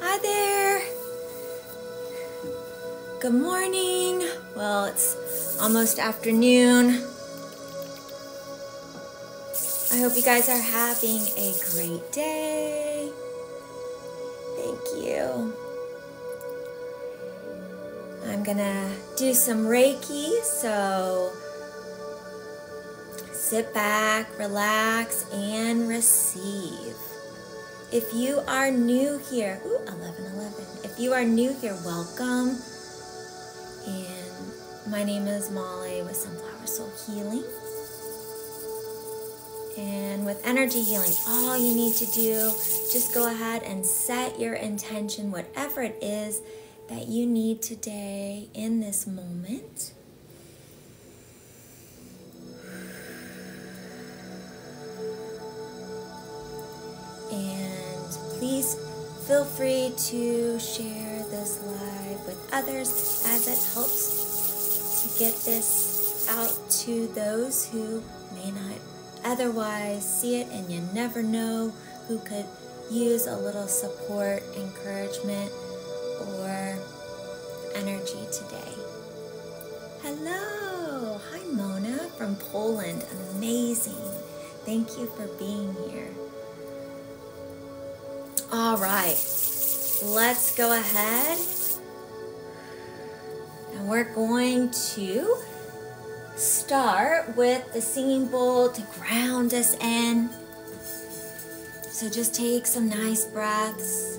Hi there. Good morning. Well, it's almost afternoon. I hope you guys are having a great day. Thank you. I'm gonna do some Reiki, so sit back, relax, and receive. If you are new here, ooh, If you are new here, welcome. And my name is Molly with Sunflower Soul Healing. And with energy healing, all you need to do, just go ahead and set your intention, whatever it is that you need today in this moment. And please feel free to share this live with others as it helps to get this out to those who may not otherwise see it, and you never know who could use a little support, encouragement, or energy today. Hello! Hi, Mona from Poland. Amazing. Thank you for being here. All right, let's go ahead and we're going to start with the singing bowl to ground us in. So just take some nice breaths.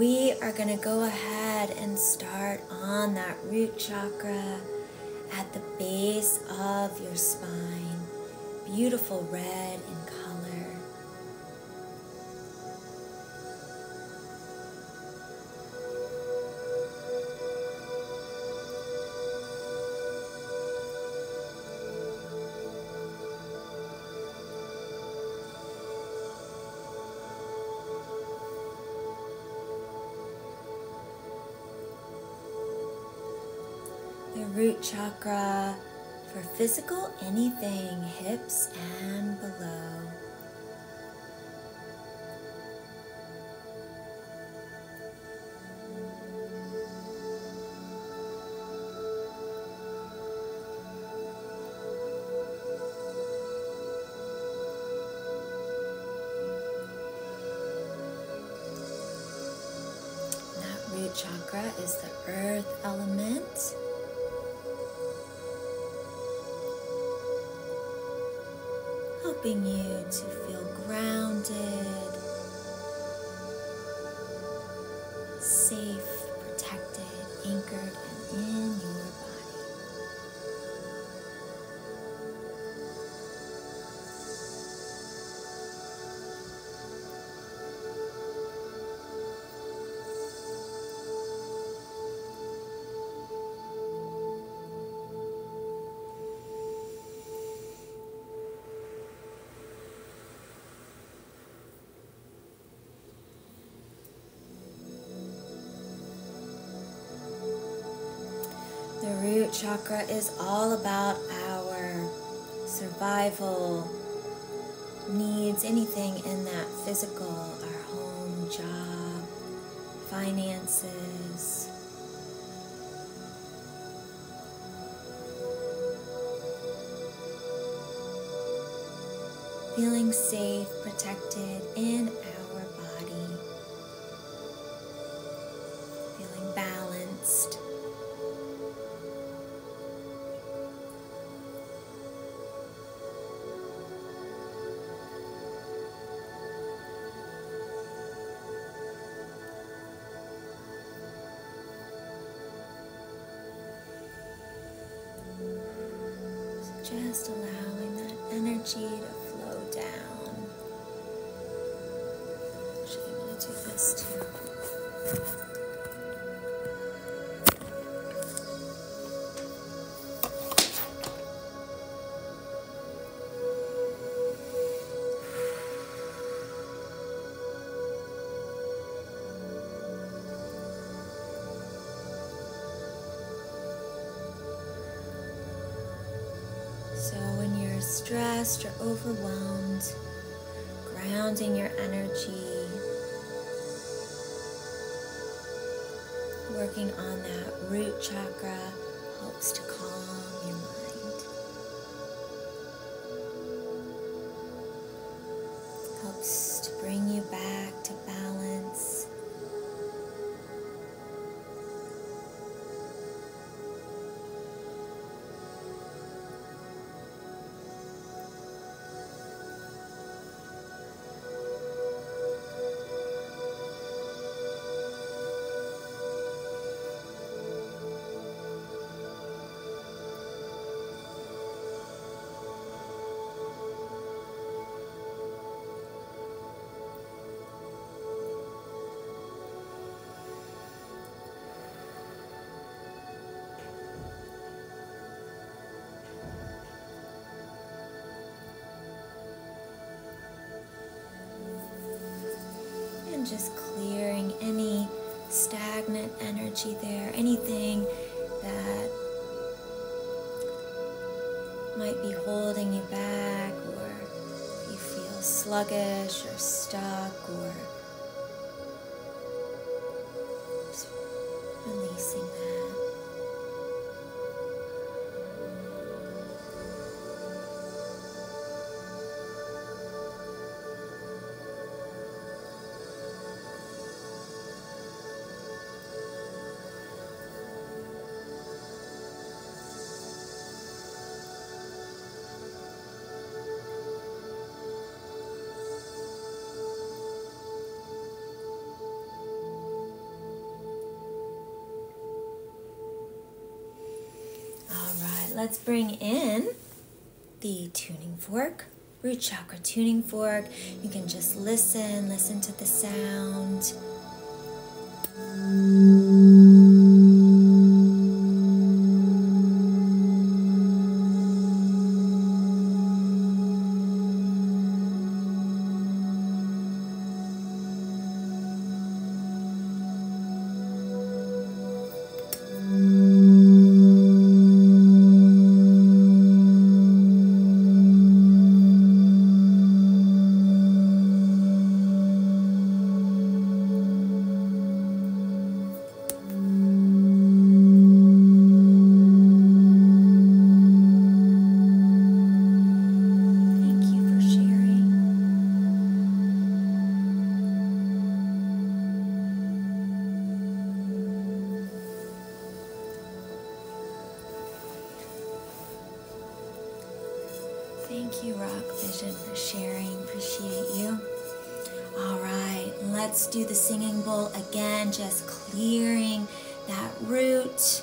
We are going to go ahead and start on that root chakra at the base of your spine. Beautiful red in color. The root chakra for physical anything, hips and below. That root chakra is the earth element. Helping you to feel grounded safe, protected, anchored, and in your body. The root chakra is all about our survival needs, anything in that physical, our home, job, finances. Feeling safe, protected in our body. Feeling balanced just allowing that energy to flow down. Actually, I'm to do this too. So when you're stressed or overwhelmed, grounding your energy, working on that root chakra helps to calm your mind helps to bring you back to balance just clearing any stagnant energy there, anything that might be holding you back, or you feel sluggish or stuck, or releasing that. All let's bring in the tuning fork, root chakra tuning fork. You can just listen, listen to the sound. Thank you for sharing. Thank you, Rock Vision, for sharing. Appreciate you. All right, let's do the singing bowl again, just clearing that root.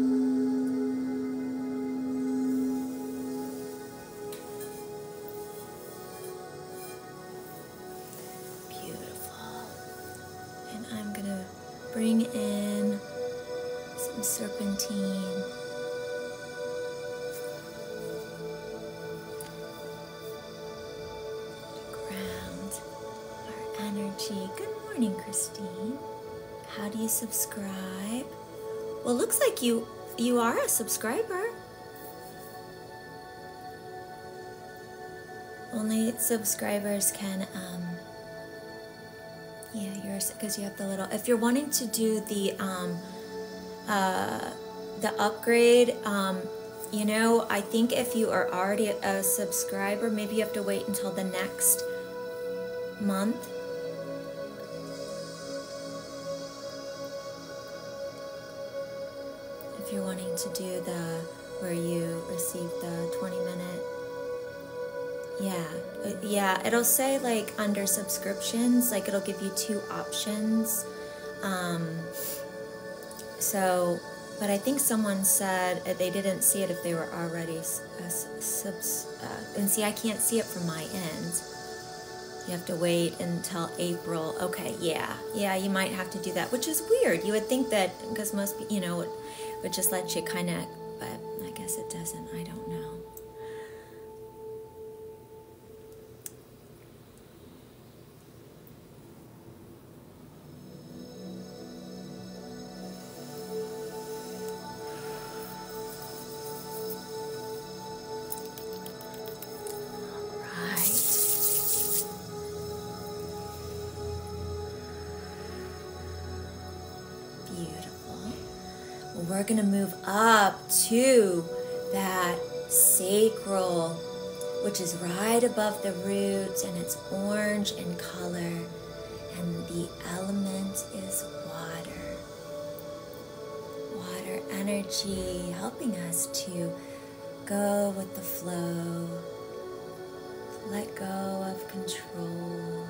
Beautiful. And I'm going to bring in some serpentine. Ground our energy. Good morning, Christine. How do you subscribe? Well, looks like you you are a subscriber. Only subscribers can, um, yeah, yours because you have the little. If you're wanting to do the um, uh, the upgrade, um, you know, I think if you are already a subscriber, maybe you have to wait until the next next month. If you're wanting to do the where you receive the 20 minute, yeah, uh, yeah, it'll say like under subscriptions, like it'll give you two options. Um, so but I think someone said uh, they didn't see it if they were already uh, uh, and see, I can't see it from my end. You have to wait until April. Okay, yeah, yeah, you might have to do that, which is weird. You would think that because most, you know, it would just let you kind of, but I guess it doesn't. I don't know. Right. Beautiful. we're going to move up to that sacral, which is right above the roots and it's orange in color. And the element is water. Water energy helping us to go with the flow, let go of control,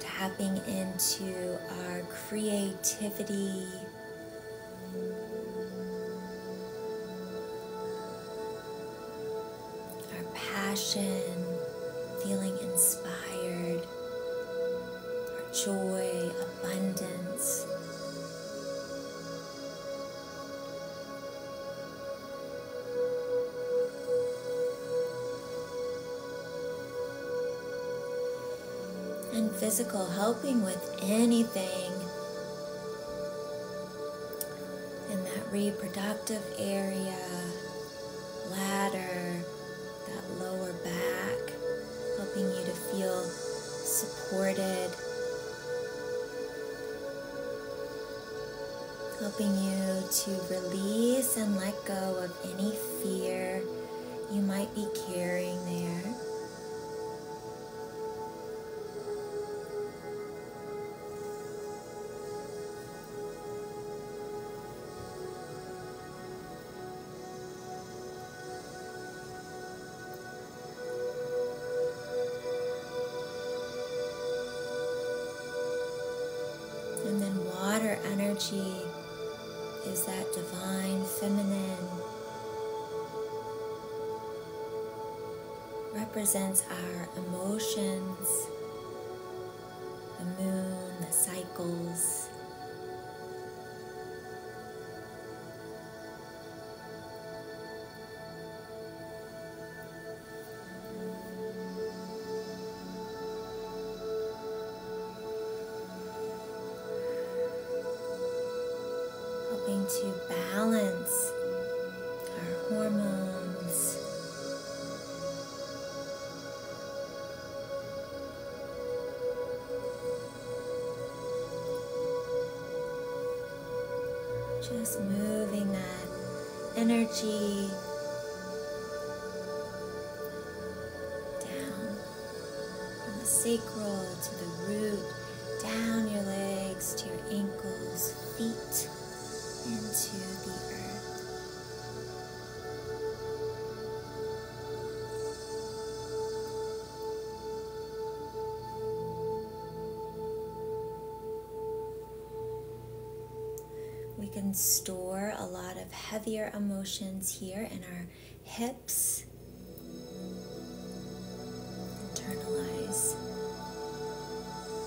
tapping into our creativity our passion, feeling inspired, our joy, abundance. and physical, helping with anything in that reproductive area, ladder, that lower back, helping you to feel supported, helping you to release and let go of any fear you might be carrying there. And then water energy is that divine feminine represents our emotions, the moon, the cycles. Helping to balance our hormones. Just moving that energy down from the sacral to the root, down your legs to your ankles, feet into the earth. We can store a lot of heavier emotions here in our hips. Internalize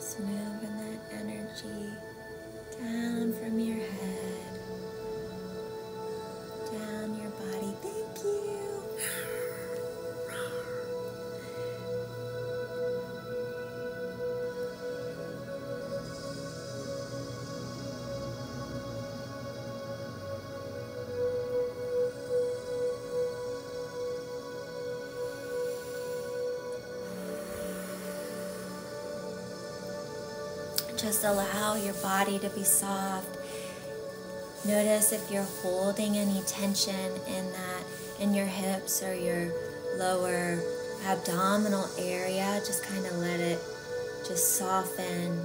Just moving that energy down from your head down your body. Thank you. Just allow your body to be soft Notice if you're holding any tension in that, in your hips or your lower abdominal area. Just kind of let it just soften.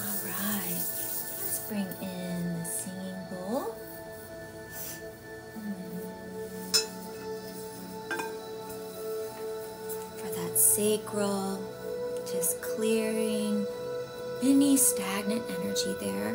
Alright, let's bring in the singing bowl. Hmm. For that sacral, just clearing any stagnant energy there.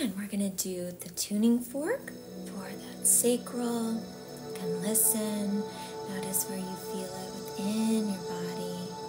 And we're gonna do the tuning fork for that sacral. And listen, notice where you feel it within your body.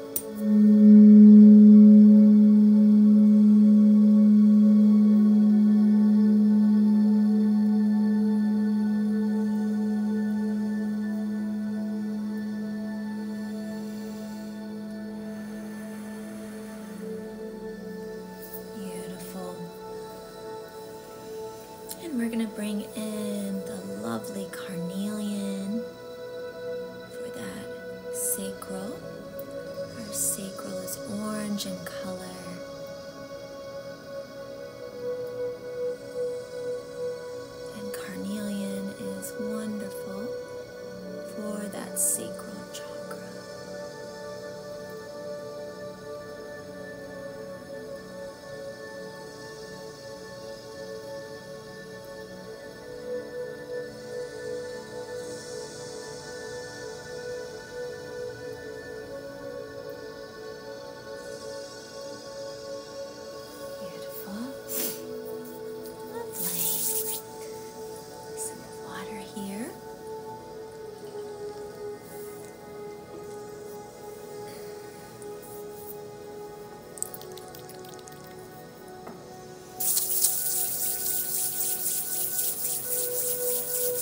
Beautiful. And we're gonna bring in the lovely carnelian for that sacral. Our sacral is orange in color. And carnelian is wonderful for that sacral chakra. Beautiful. Lovely. Some water here.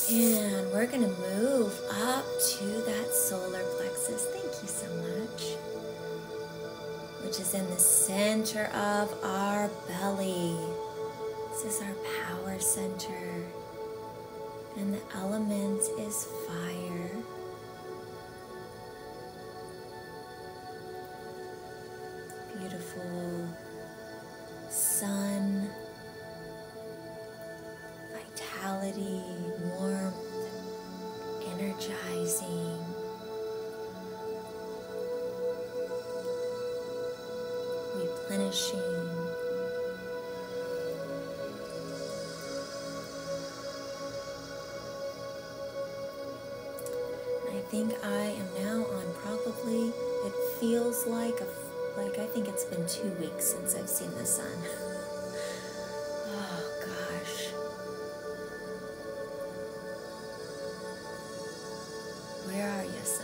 And we're going to move up to that solar plexus. Thank you so much. Which is in the center of our belly. This is our power center. And the element is fire, Beautiful sun, vitality, warmth, energizing. Replenishing. I think I am now on probably, it feels like, like I think it's been two weeks since I've seen the sun. Oh gosh. Where are you, son?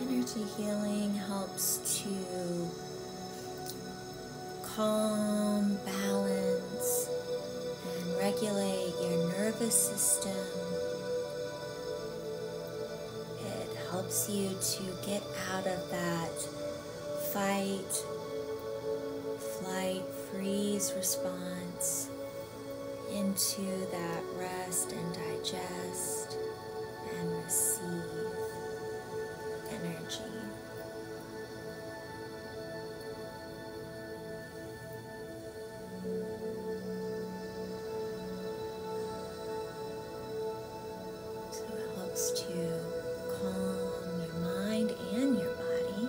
Energy healing helps to calm, balance, and regulate your nervous system. It helps you to get out of that fight, flight, freeze response into that rest and digest and receive energy. So it helps to calm your mind and your body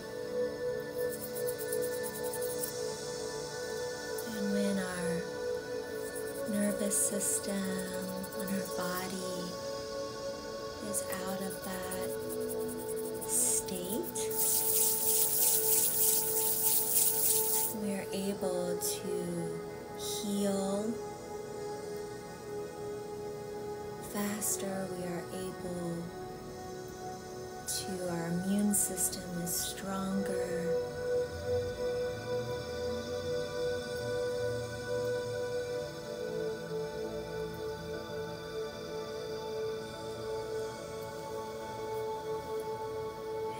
And when our nervous system, when our body is out of that state, we are able to heal faster we are able to our immune system is stronger.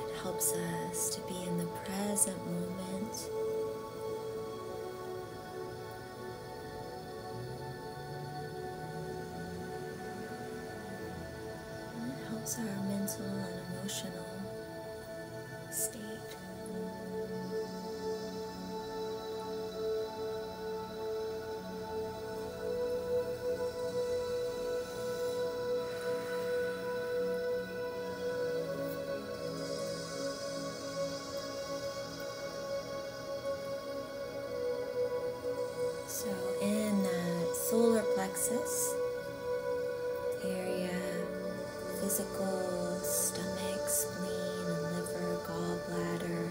It helps us to be in the present moment it helps our mental and emotional state. So in the solar plexus area, physical, stomach, spleen, and liver, gallbladder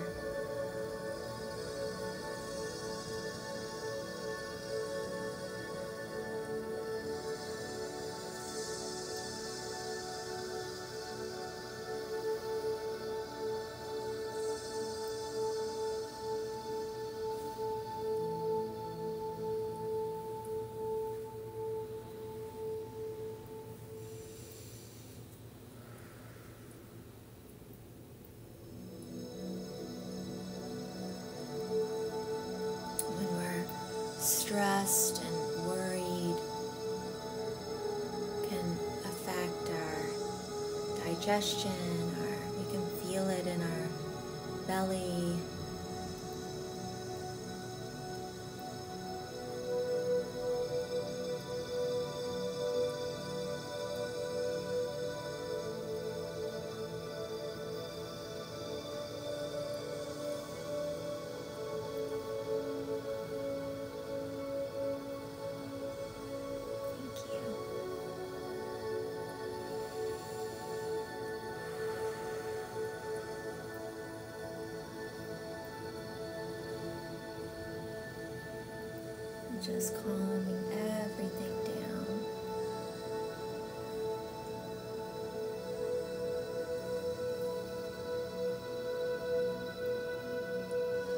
stressed and worried can affect our digestion, we can feel it in our belly. Thank you. just calming everything down.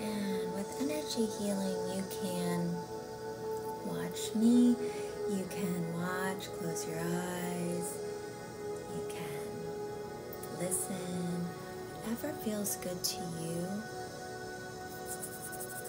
And with energy healing, you can watch me, you can watch, close your eyes, you can listen, whatever feels good to you.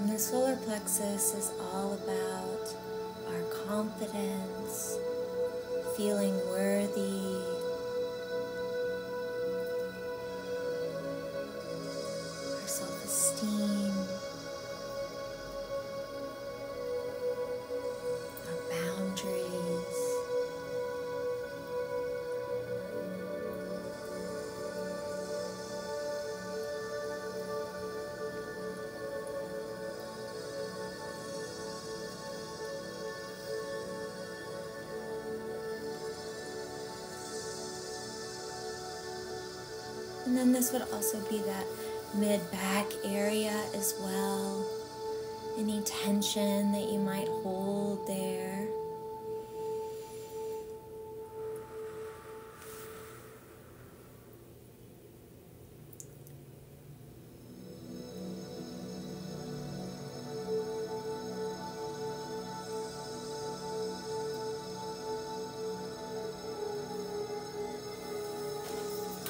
And the solar plexus is all about our confidence, feeling worthy. our Self-esteem, and then this would also be that mid back area as well any tension that you might hold there.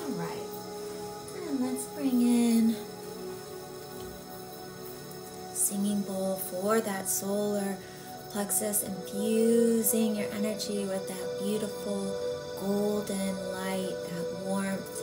All right, and let's bring in Singing bowl for that solar plexus, infusing your energy with that beautiful golden light, that warmth.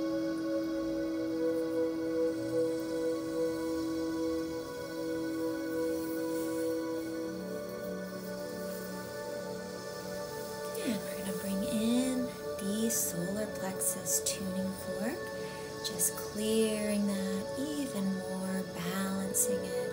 we're going to bring in the solar plexus tuning fork, just clearing that even more, balancing it.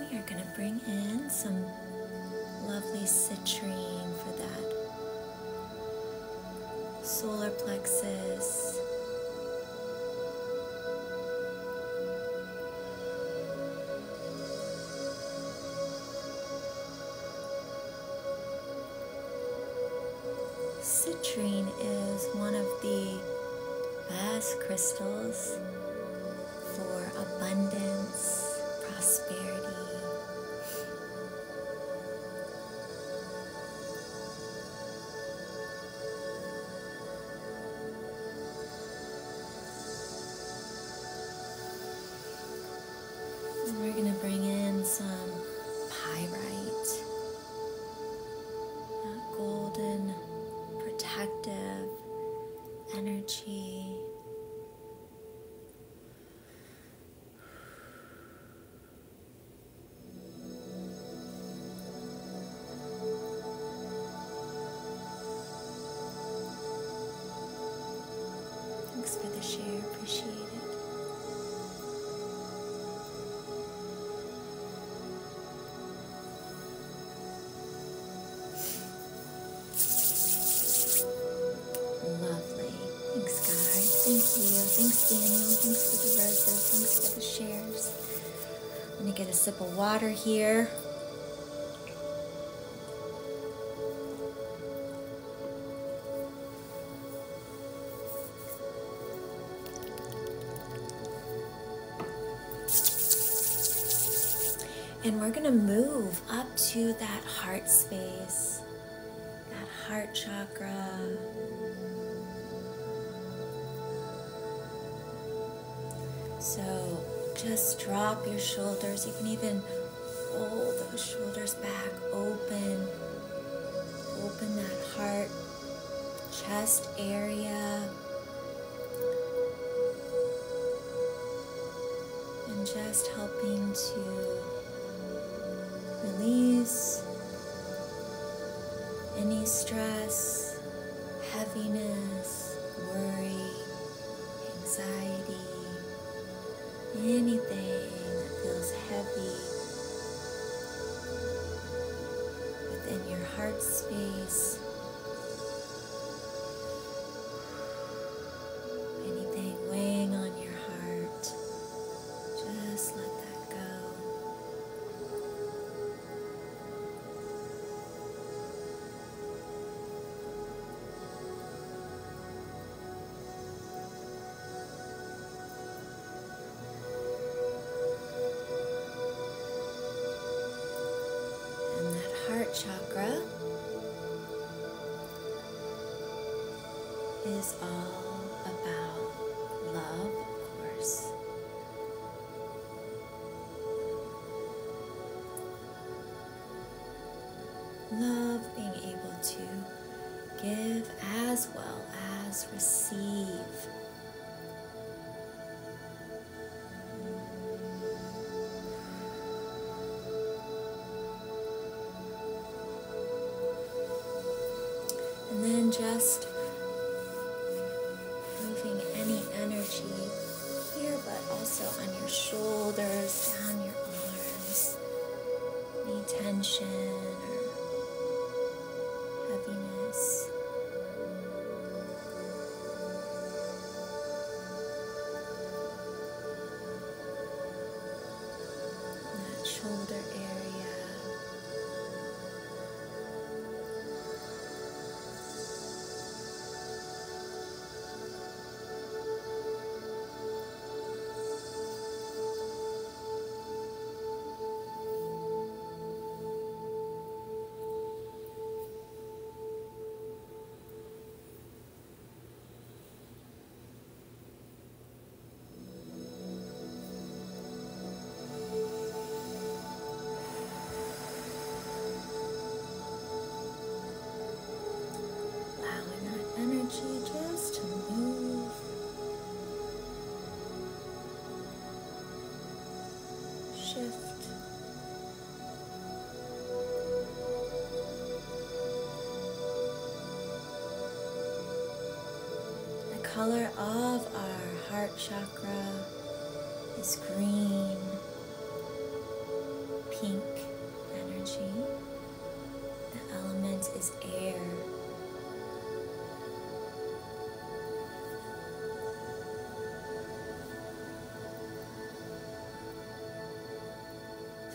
We are going to bring in some lovely citrine for that solar plexus. Citrine is one of the Bass crystals for abundance, prosperity. we're going to bring in some pyrite, golden protective energy. Thanks for the share, appreciate it. Lovely. Thanks, guys. Thank you. Thanks, Daniel. Thanks for the roses. Thanks for the shares. Let me get a sip of water here. And we're going to move up to that heart space, that heart chakra. So just drop your shoulders. You can even roll those shoulders back, open, open that heart, chest area and just helping to release any stress, heaviness, worry, anxiety, anything that feels heavy within your heart space. Anything weighing on your heart, just let that go. And that heart chakra is all about love, of course. Love being able to give as well as receive. And then just moving any energy here, but also on your shoulders, down your arms, any tension or heaviness that shoulder area. Allowing that energy just to move. Shift the color of our heart chakra is green, pink energy. The element is air.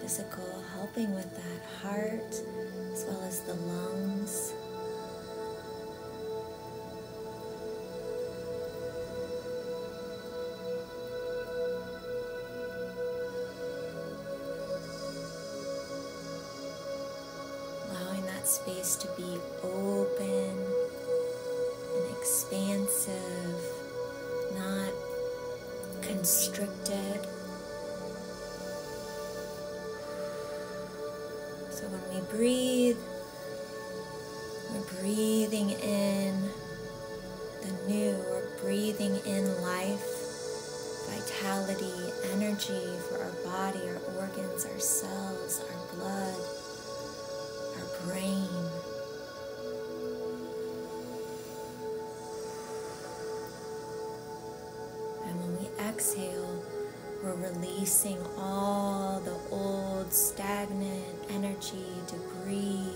Physical helping with that heart as well as the lungs. Allowing that space to be open and expansive, not constricted. So when we breathe, we're breathing in the new, we're breathing in life, vitality, energy for our body, our organs, our cells, our blood, our brain. And when we exhale, we're releasing all the old stagnant energy, debris.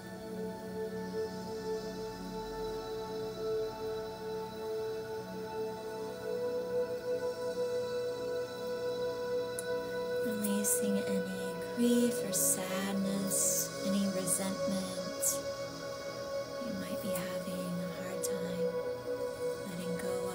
Releasing any grief or sadness, any resentment you might be having a hard time letting go of.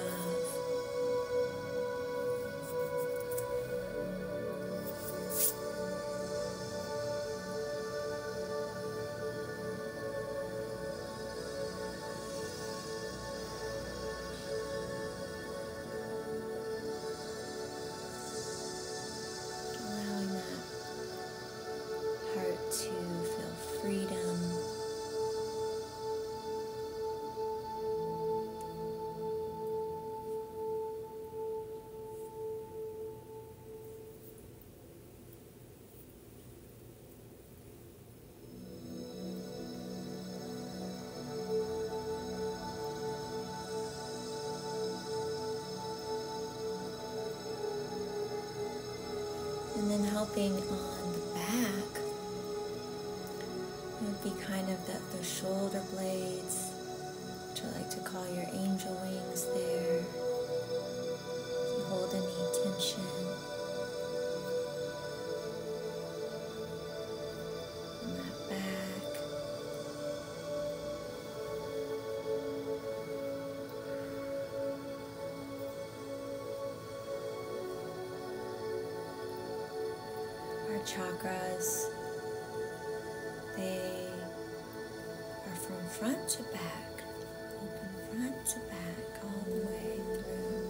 Allowing that heart to feel freedom. And then helping on the back would be kind of the, shoulder blades, which I like to call your angel wings there hold any tension, in that back, our chakras, they or from front to back, open front to back all the way through.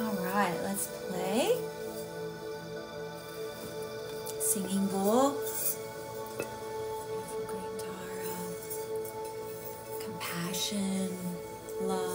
All right, let's play singing bowl. Compassion, love.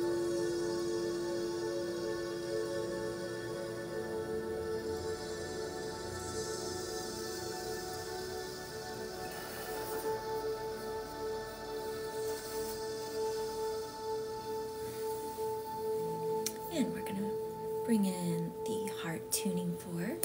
And we're going to bring in the heart tuning fork.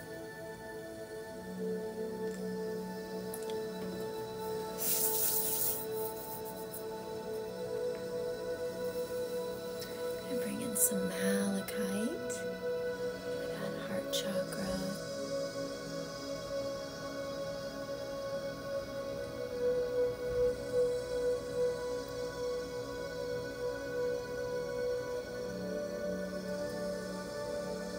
And bring in some malachite for heart chakra.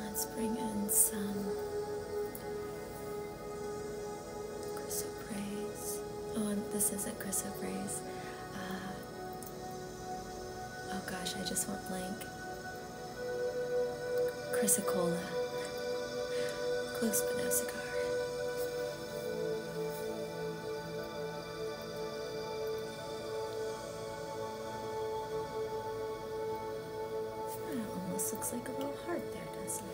Let's bring in some chrysoprase. Oh, this isn't chrysoprase. Uh, oh gosh, I just went blank. Chrysocolla. Close but no cigar almost looks like a little heart there, doesn't it?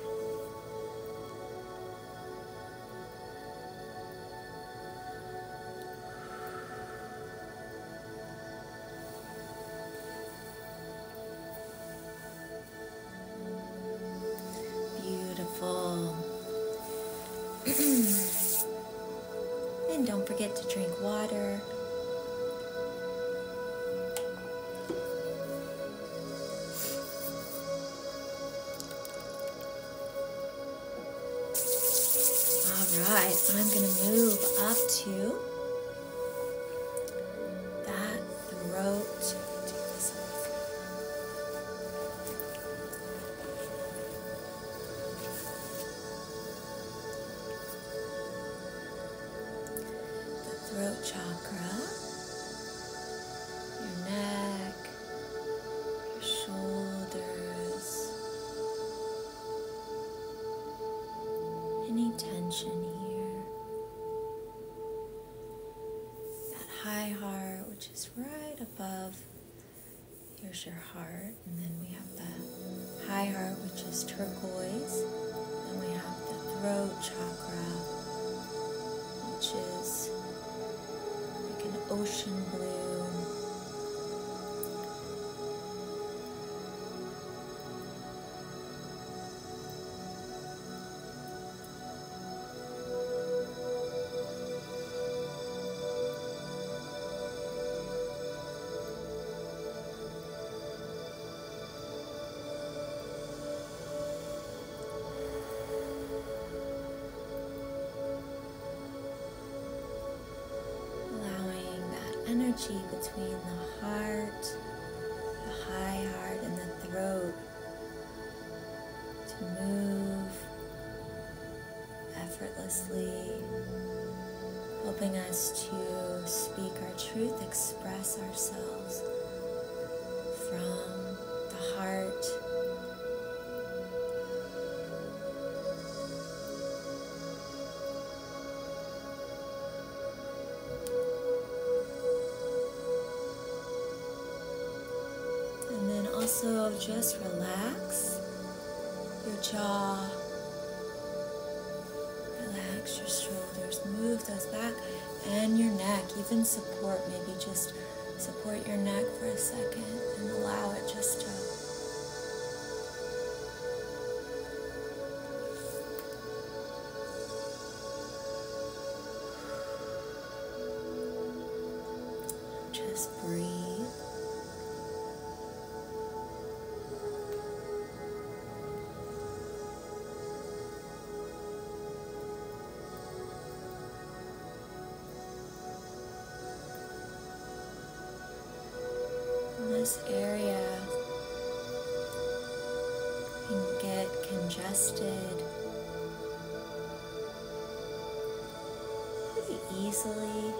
Beautiful. And don't forget to drink water. Alright, I'm going to move up to that throat the throat chakra, your neck, your shoulders, any tension here, that high heart which is right above Here's your heart, and then we have the high heart, which is turquoise. Then we have the throat chakra, which is like an ocean blue. Allowing that energy between the heart, the high heart, and the throat to move effortlessly, helping us to speak our truth, express ourselves from the heart. And then also just relax your jaw Relax your shoulders, move those back and your neck. Even support, maybe just support your neck for a second and allow it just to Just breathe this area can get congested pretty easily.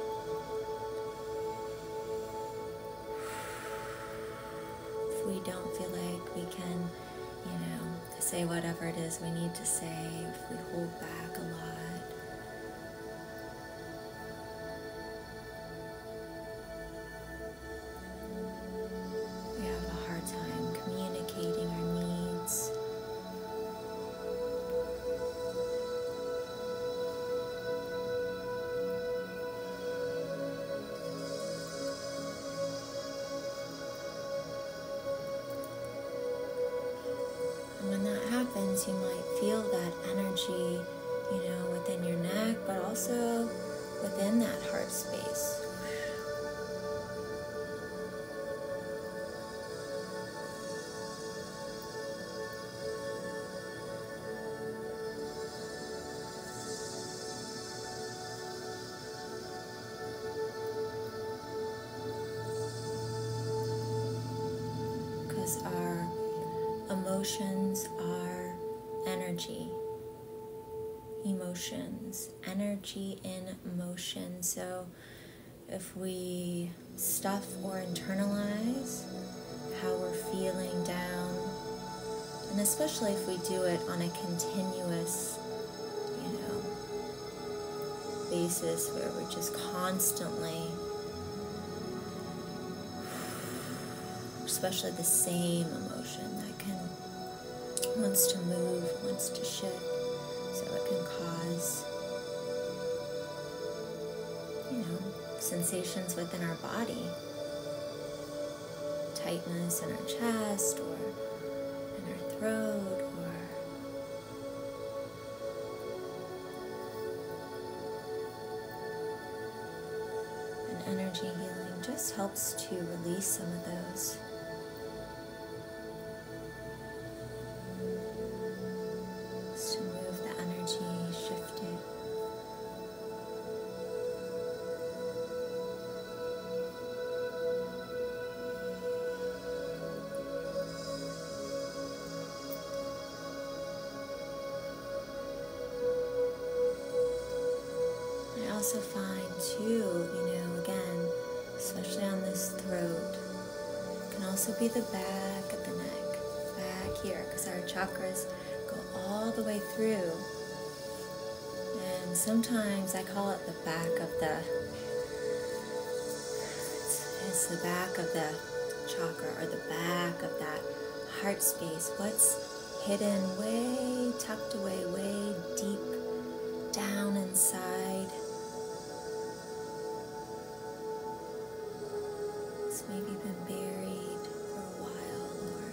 If we don't feel like we can, you know, say whatever it is we need to say, if we hold back a lot, we have a hard time communicating our needs. And when that happens, you might feel that energy, you know, within your neck, but also within that heart space. Because our emotions are energy. Emotions, energy in motion. So if we stuff or internalize, how we're feeling down. And especially if we do it on a continuous, you know, basis where we're just constantly, especially the same emotion that can, wants to move, wants to shift, so it can cause, you know, sensations within our body tightness in our chest or in our throat or an energy healing just helps to release some of those to move the energy shift I also find too, you know, again, especially on this throat, can also be the back of the neck, back here, because our chakras Go all the way through. And sometimes I call it the back of the, it's, the back of the chakra or the back of that heart space. What's hidden way tucked away, way deep down inside that's maybe been buried for a while or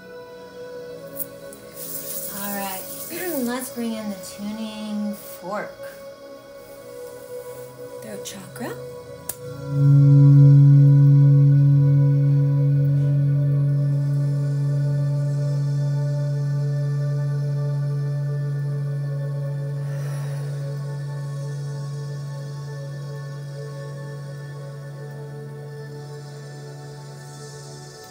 All right, let's bring in the tuning fork. Throat chakra.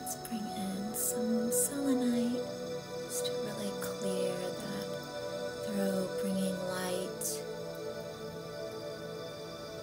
Let's bring in some selenite just to really clear that throat, bringing light.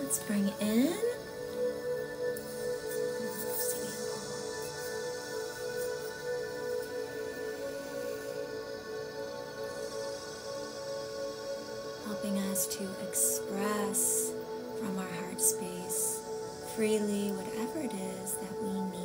Let's bring in. Helping us to express from our heart space freely whatever it is that we need.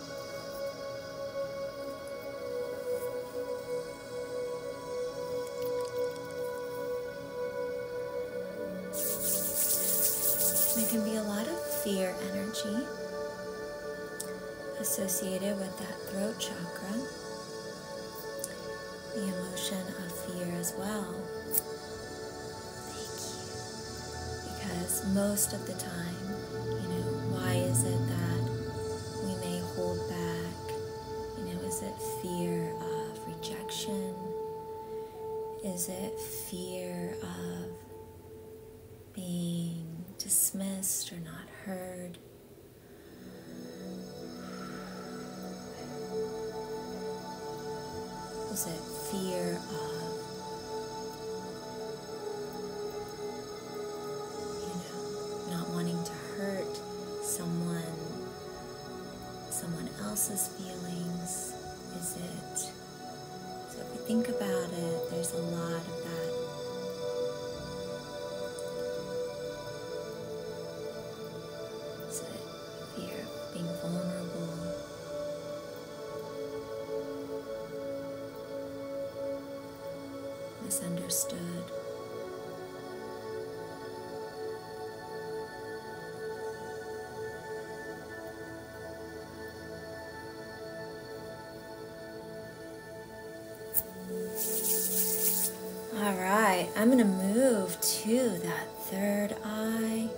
There can be a lot of fear energy associated with that throat chakra, the emotion of fear as well. Thank you. Because most of the time, you know, why is it that we may hold back? You know, is it fear of rejection? Is it fear of being dismissed or not heard? Is it fear of you know, not wanting to hurt someone, someone else's feelings? Is it? So if we think about it, there's a lot of that. So fear of being vulnerable, misunderstood. All right, I'm going to move to that third eye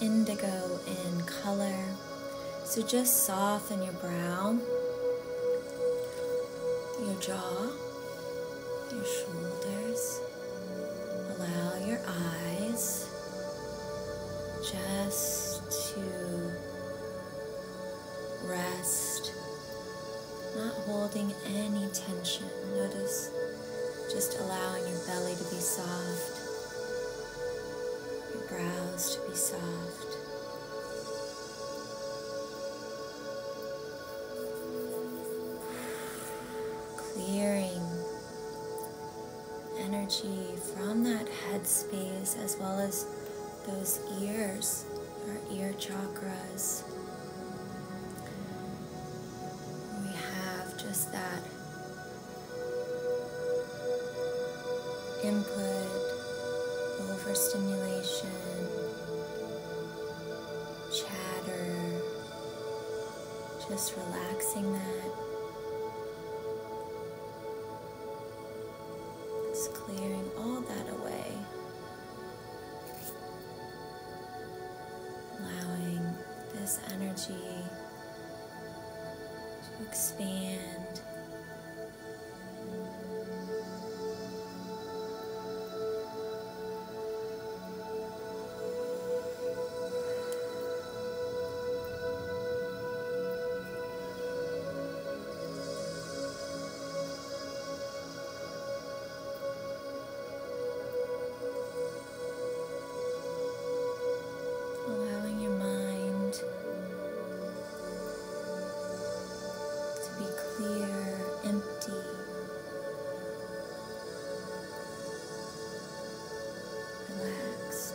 indigo in color. So just soften your brow, your jaw, your shoulders. Allow your eyes just to rest not holding any tension. Notice just allowing your belly to be soft, your brows to be soft. Clearing energy from that headspace as well as those ears, our ear chakras we have just that input, overstimulation, chatter, just relaxing that. It's clearing all that away. Allowing this energy to expand. Allowing your mind to be clear, empty. Relaxed.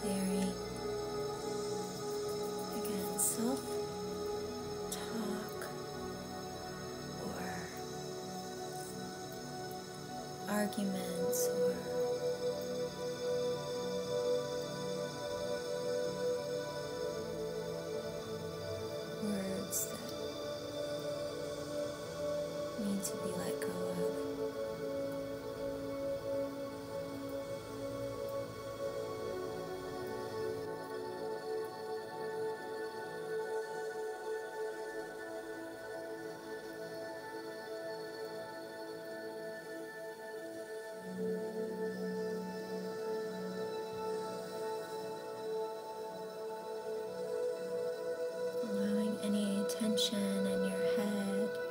clearing again self talk or arguments or words that need to be let go of. Allowing any tension in your head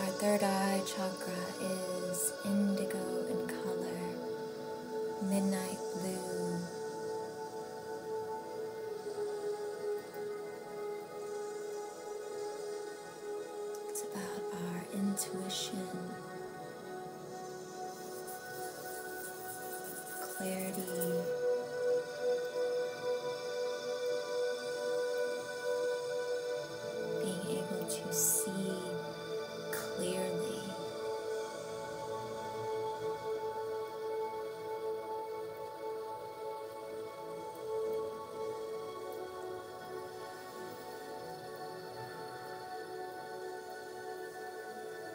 Our third eye chakra is indigo in color, midnight blue. It's about our intuition clarity. Being able to see clearly.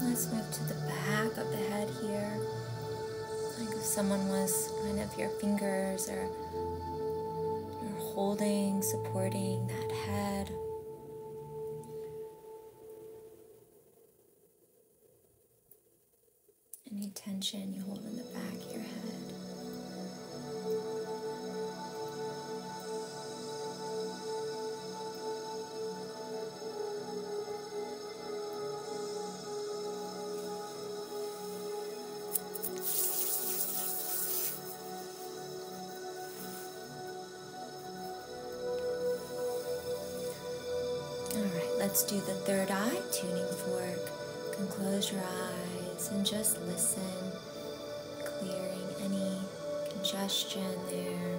Let's move to the back of the head here. Like if someone was kind of your fingers or you're holding, supporting that head. Any tension you hold in the back of your head. Alright, let's do the third eye tuning fork. You can close your eyes and just listen, clearing any congestion there.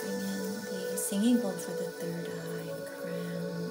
bring in the singing bowl for the third eye crown.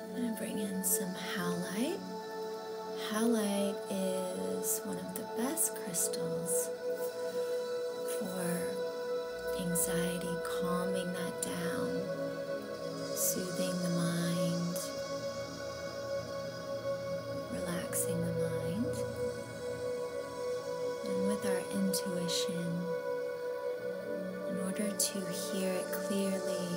I'm going to bring in some halite. Halite is one of the best crystals for anxiety, calming that down, soothing the mind, relaxing the mind and with our intuition, in order to hear it clearly,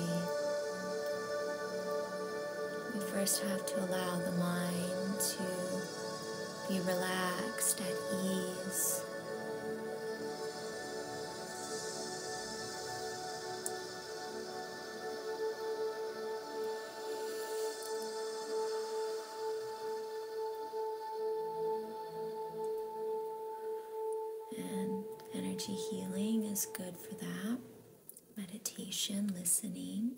we first have to allow the mind to be relaxed, at ease. And energy healing is good for that. Meditation, listening.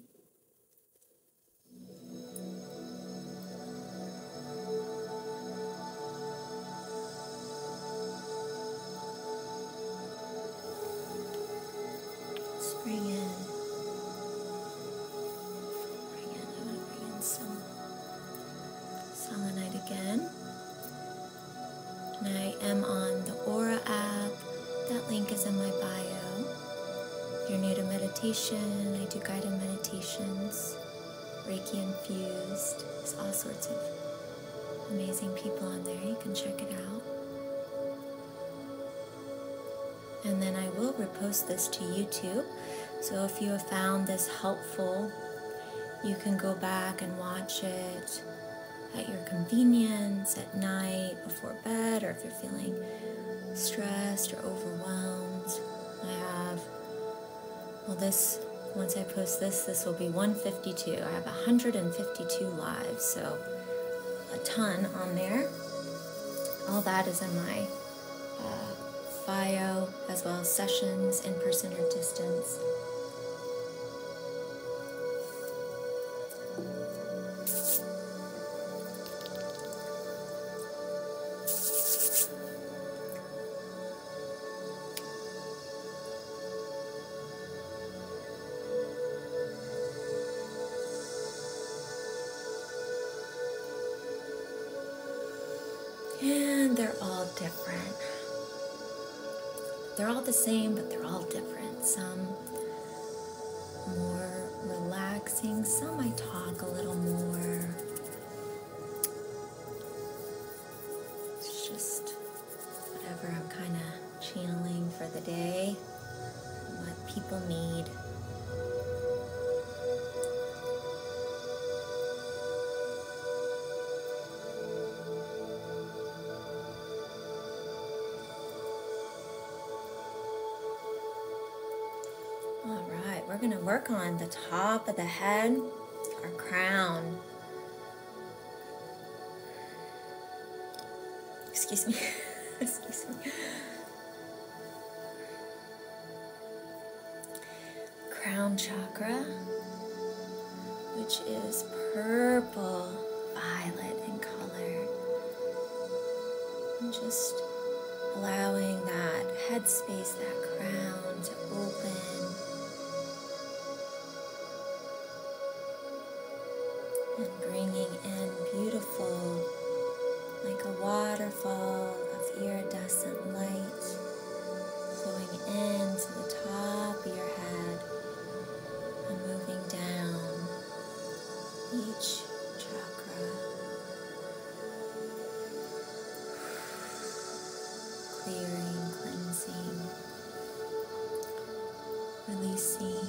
Bring in, bring in, I want to bring in some Selenite again. I am on the Aura app. That link is in my bio. If you're new to meditation, I do guided meditations, Reiki infused. There's all sorts of amazing people on there. You can check it out. And then I will repost this to YouTube so if you have found this helpful, you can go back and watch it at your convenience, at night, before bed, or if you're feeling stressed or overwhelmed. I have, well, this, once I post this, this will be 152. I have 152 lives, so a ton on there. All that is in my bio, uh, as well as sessions, in person or distance. And they're all different. They're all the same, but they're all different. Some more relaxing, some I talk a little more. It's just whatever I'm kind of channeling for the day, what people need. All right, we're going to work on the top of the head, our crown. Excuse me. Excuse me crown chakra, which is purple violet in color. just allowing that headspace, that crown to open. And bringing in beautiful, like a waterfall of iridescent light flowing into the top of your head and moving down each chakra. Clearing, cleansing, releasing.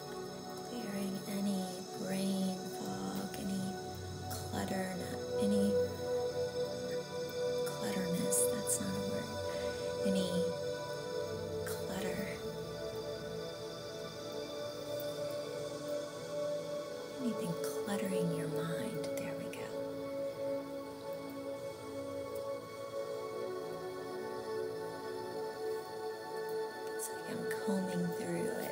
clearing any brain fog, any clutter, any clutterness, that's not a word, any clutter, anything cluttering your mind. There we go. It's like I'm combing through it.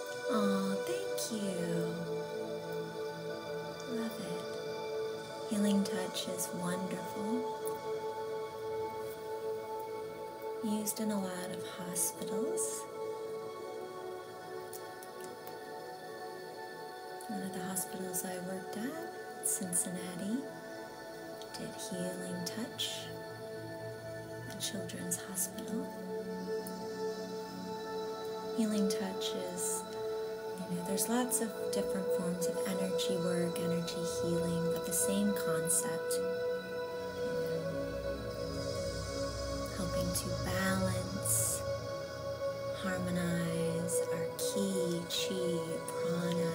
Oh, thank you. Love it. Healing touch is wonderful. Used in a lot of hospitals. One of the hospitals I worked at, Cincinnati, did healing touch the Children's Hospital. Healing touch is, you know, there's lots of different forms of energy work, energy healing, but the same concept. Um, helping to balance, harmonize our ki, chi, prana,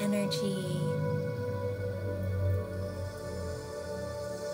energy.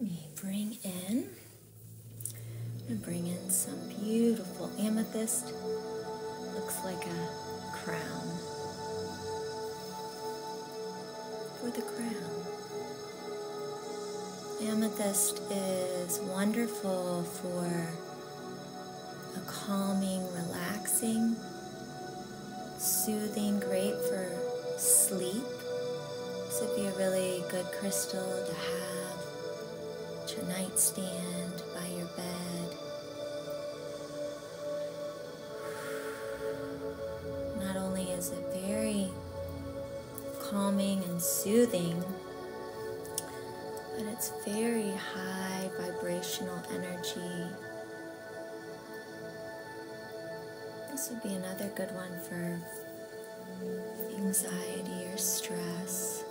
Let me bring in, I'm gonna bring in some beautiful amethyst. Looks like a crown. For the crown. Amethyst is wonderful for a calming, relaxing, soothing, great for sleep. This would be a really good crystal to have to your nightstand, by your bed. Not only is it very calming and soothing, but it's very high vibrational energy this would be another good one for anxiety or stress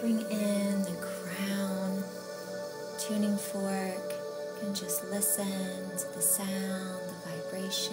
bring in the crown, tuning fork. and just listen to the sound, the vibration.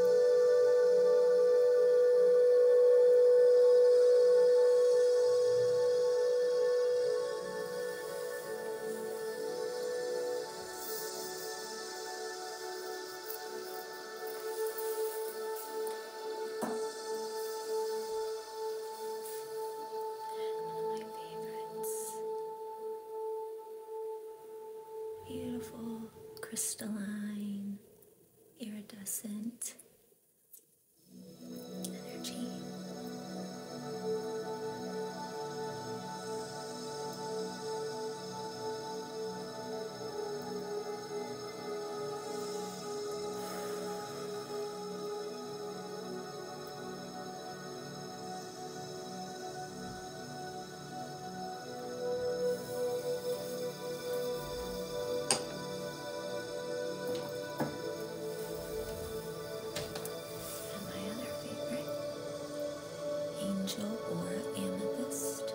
One of my favorites. Beautiful crystalline iridescent energy. And my other favorite, angel or amethyst.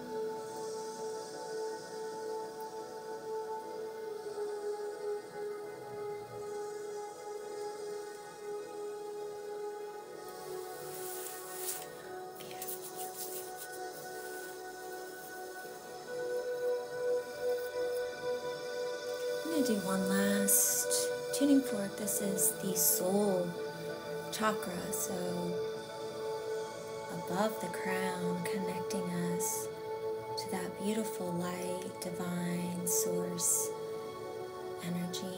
I'm going to do one last tuning fork. This is the soul chakra, so above the crown, connecting us to that beautiful light, divine source energy.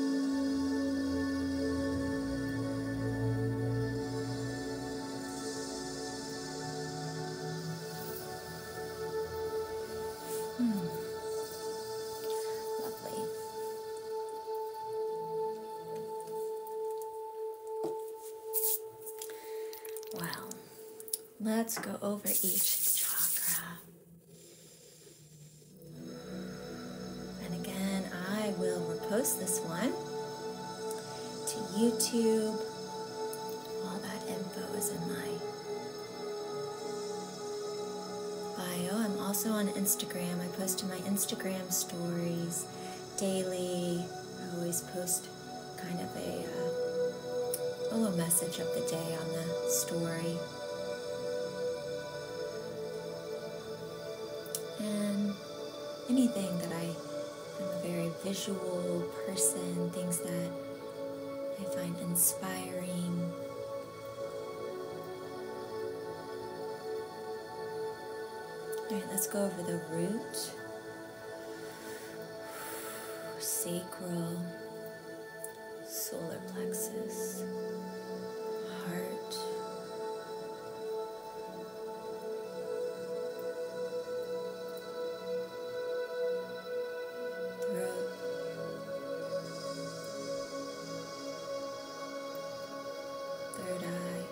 Mm. Lovely. Well, let's go over each chakra and again, I will repost this one to YouTube. All that info is in my bio. I'm also on Instagram. I post to my Instagram stories daily. I always post kind of a, uh, a little message of the day on the story. And anything that I am a very visual person, things that I find inspiring. Alright, let's go over the root, sacral, solar plexus, heart, throat, third eye.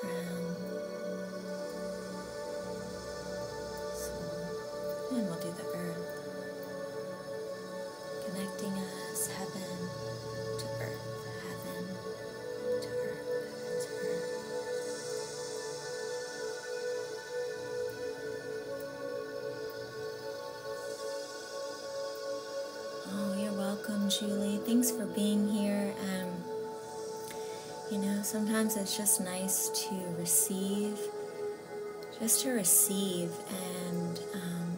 Crown and we'll do the earth, connecting us heaven to earth, heaven to earth, to earth. Oh, you're welcome, Julie. Thanks for being here. Um, you know, sometimes it's just nice to receive, just to receive and, um,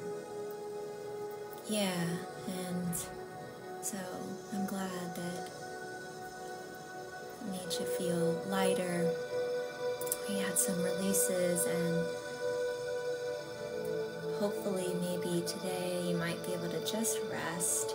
yeah, and so I'm glad that it made you feel lighter. We had some releases and hopefully maybe today you might be able to just rest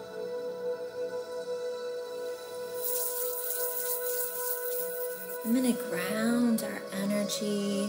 I'm going to ground our energy.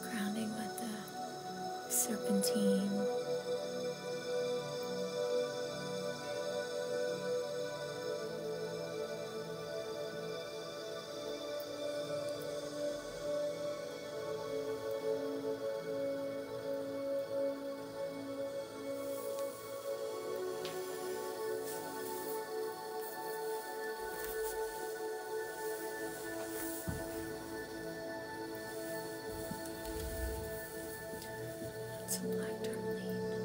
Grounding with the serpentine. It's a black tourmaline.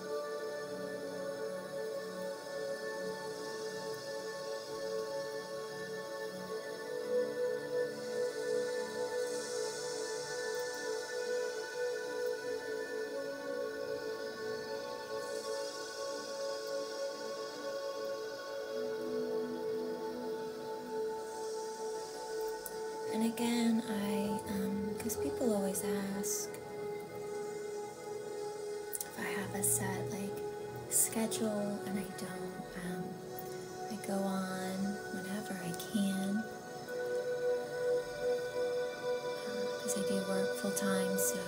And again, I, because um, people always ask, if I have a set like schedule and I don't, um, I go on whenever I can because uh, I do work full time, so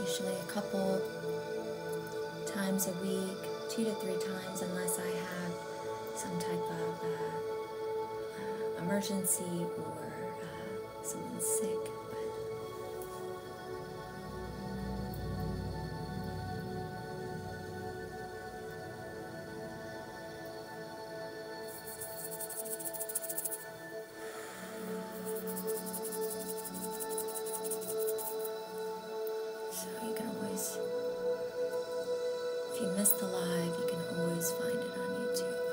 usually a couple times a week, two to three times, unless I have some type of uh, uh, emergency or uh, someone's sick. So you can always, if you miss the live, you can always find it on YouTube.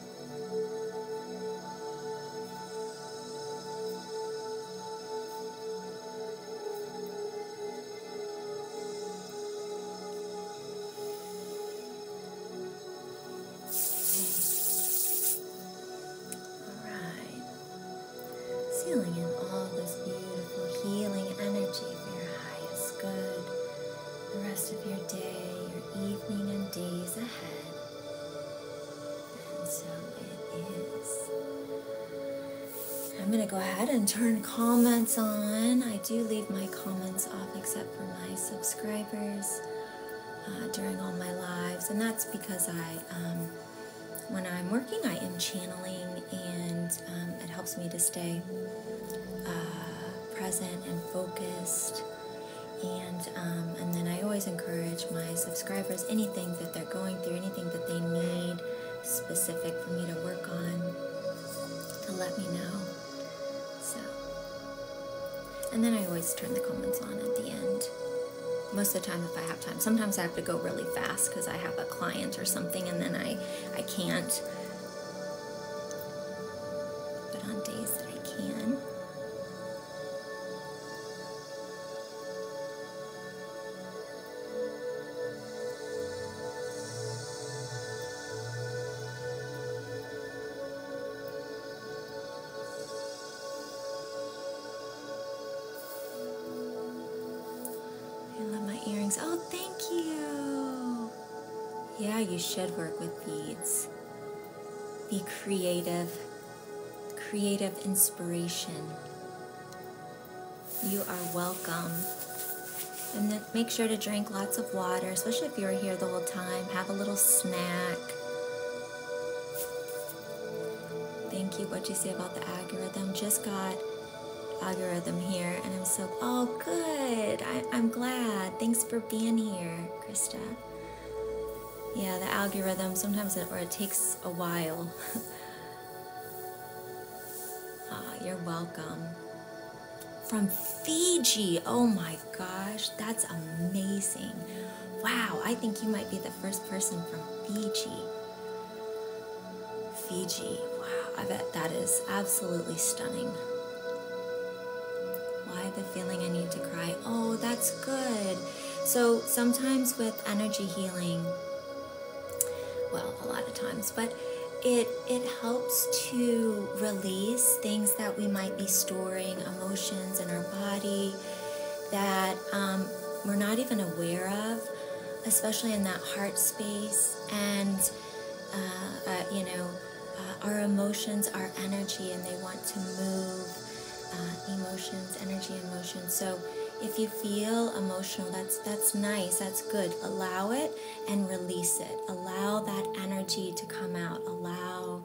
Alright, sealing in all this beautiful healing energy for your highest good, the rest of your day, your evening, and days ahead so it is. I'm going to go ahead and turn comments on. I do leave my comments off except for my subscribers uh, during all my lives. And that's because I, um, when I'm working, I am channeling and um, it helps me to stay uh, present and focused and um, and then I always encourage my subscribers anything that they're going through, anything that they need specific for me to work on, to let me know. So, and then I always turn the comments on at the end. Most of the time, if I have time, sometimes I have to go really fast because I have a client or something, and then I I can't. But on days that I can, I love my earrings. Oh, thank you. Yeah, you should work with beads. Be creative creative inspiration. You are welcome. And make sure to drink lots of water, especially if you're here the whole time. Have a little snack. Thank you. What'd you say about the algorithm? Just got algorithm here, and I'm so, oh, good. I'm glad. Thanks for being here, Krista yeah, the algorithm sometimes it, or it takes a while. Ah, you're welcome. From Fiji, oh my gosh, that's amazing. Wow, I think you might be the first person from Fiji. Fiji, wow, I bet that is absolutely stunning. Why the feeling I need to cry oh, that's good. So sometimes with energy healing, well, a lot of times, but it it helps to release things that we might be storing, emotions in our body that um, we're not even aware of, especially in that heart space. And uh, uh you know, uh, our emotions, are energy, and they want to move uh, emotions, energy emotions. So if you feel emotional, that's that's nice, that's good. Allow it and release it. Allow that energy to come out. Allow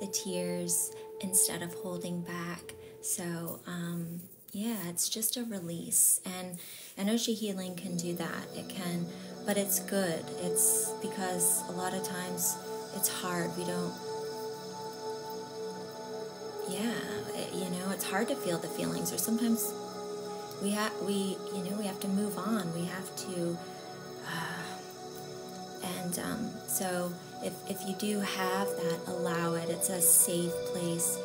the tears instead of holding back. So um, yeah, it's just a release, and energy healing can do that. It can, but it's good. It's because a lot of times it's hard. We don't yeah, you know, it's hard to feel the feelings or sometimes we have we you know, we have to move on. We have to uh, and um, so if, if you do have that, allow it. It's a safe place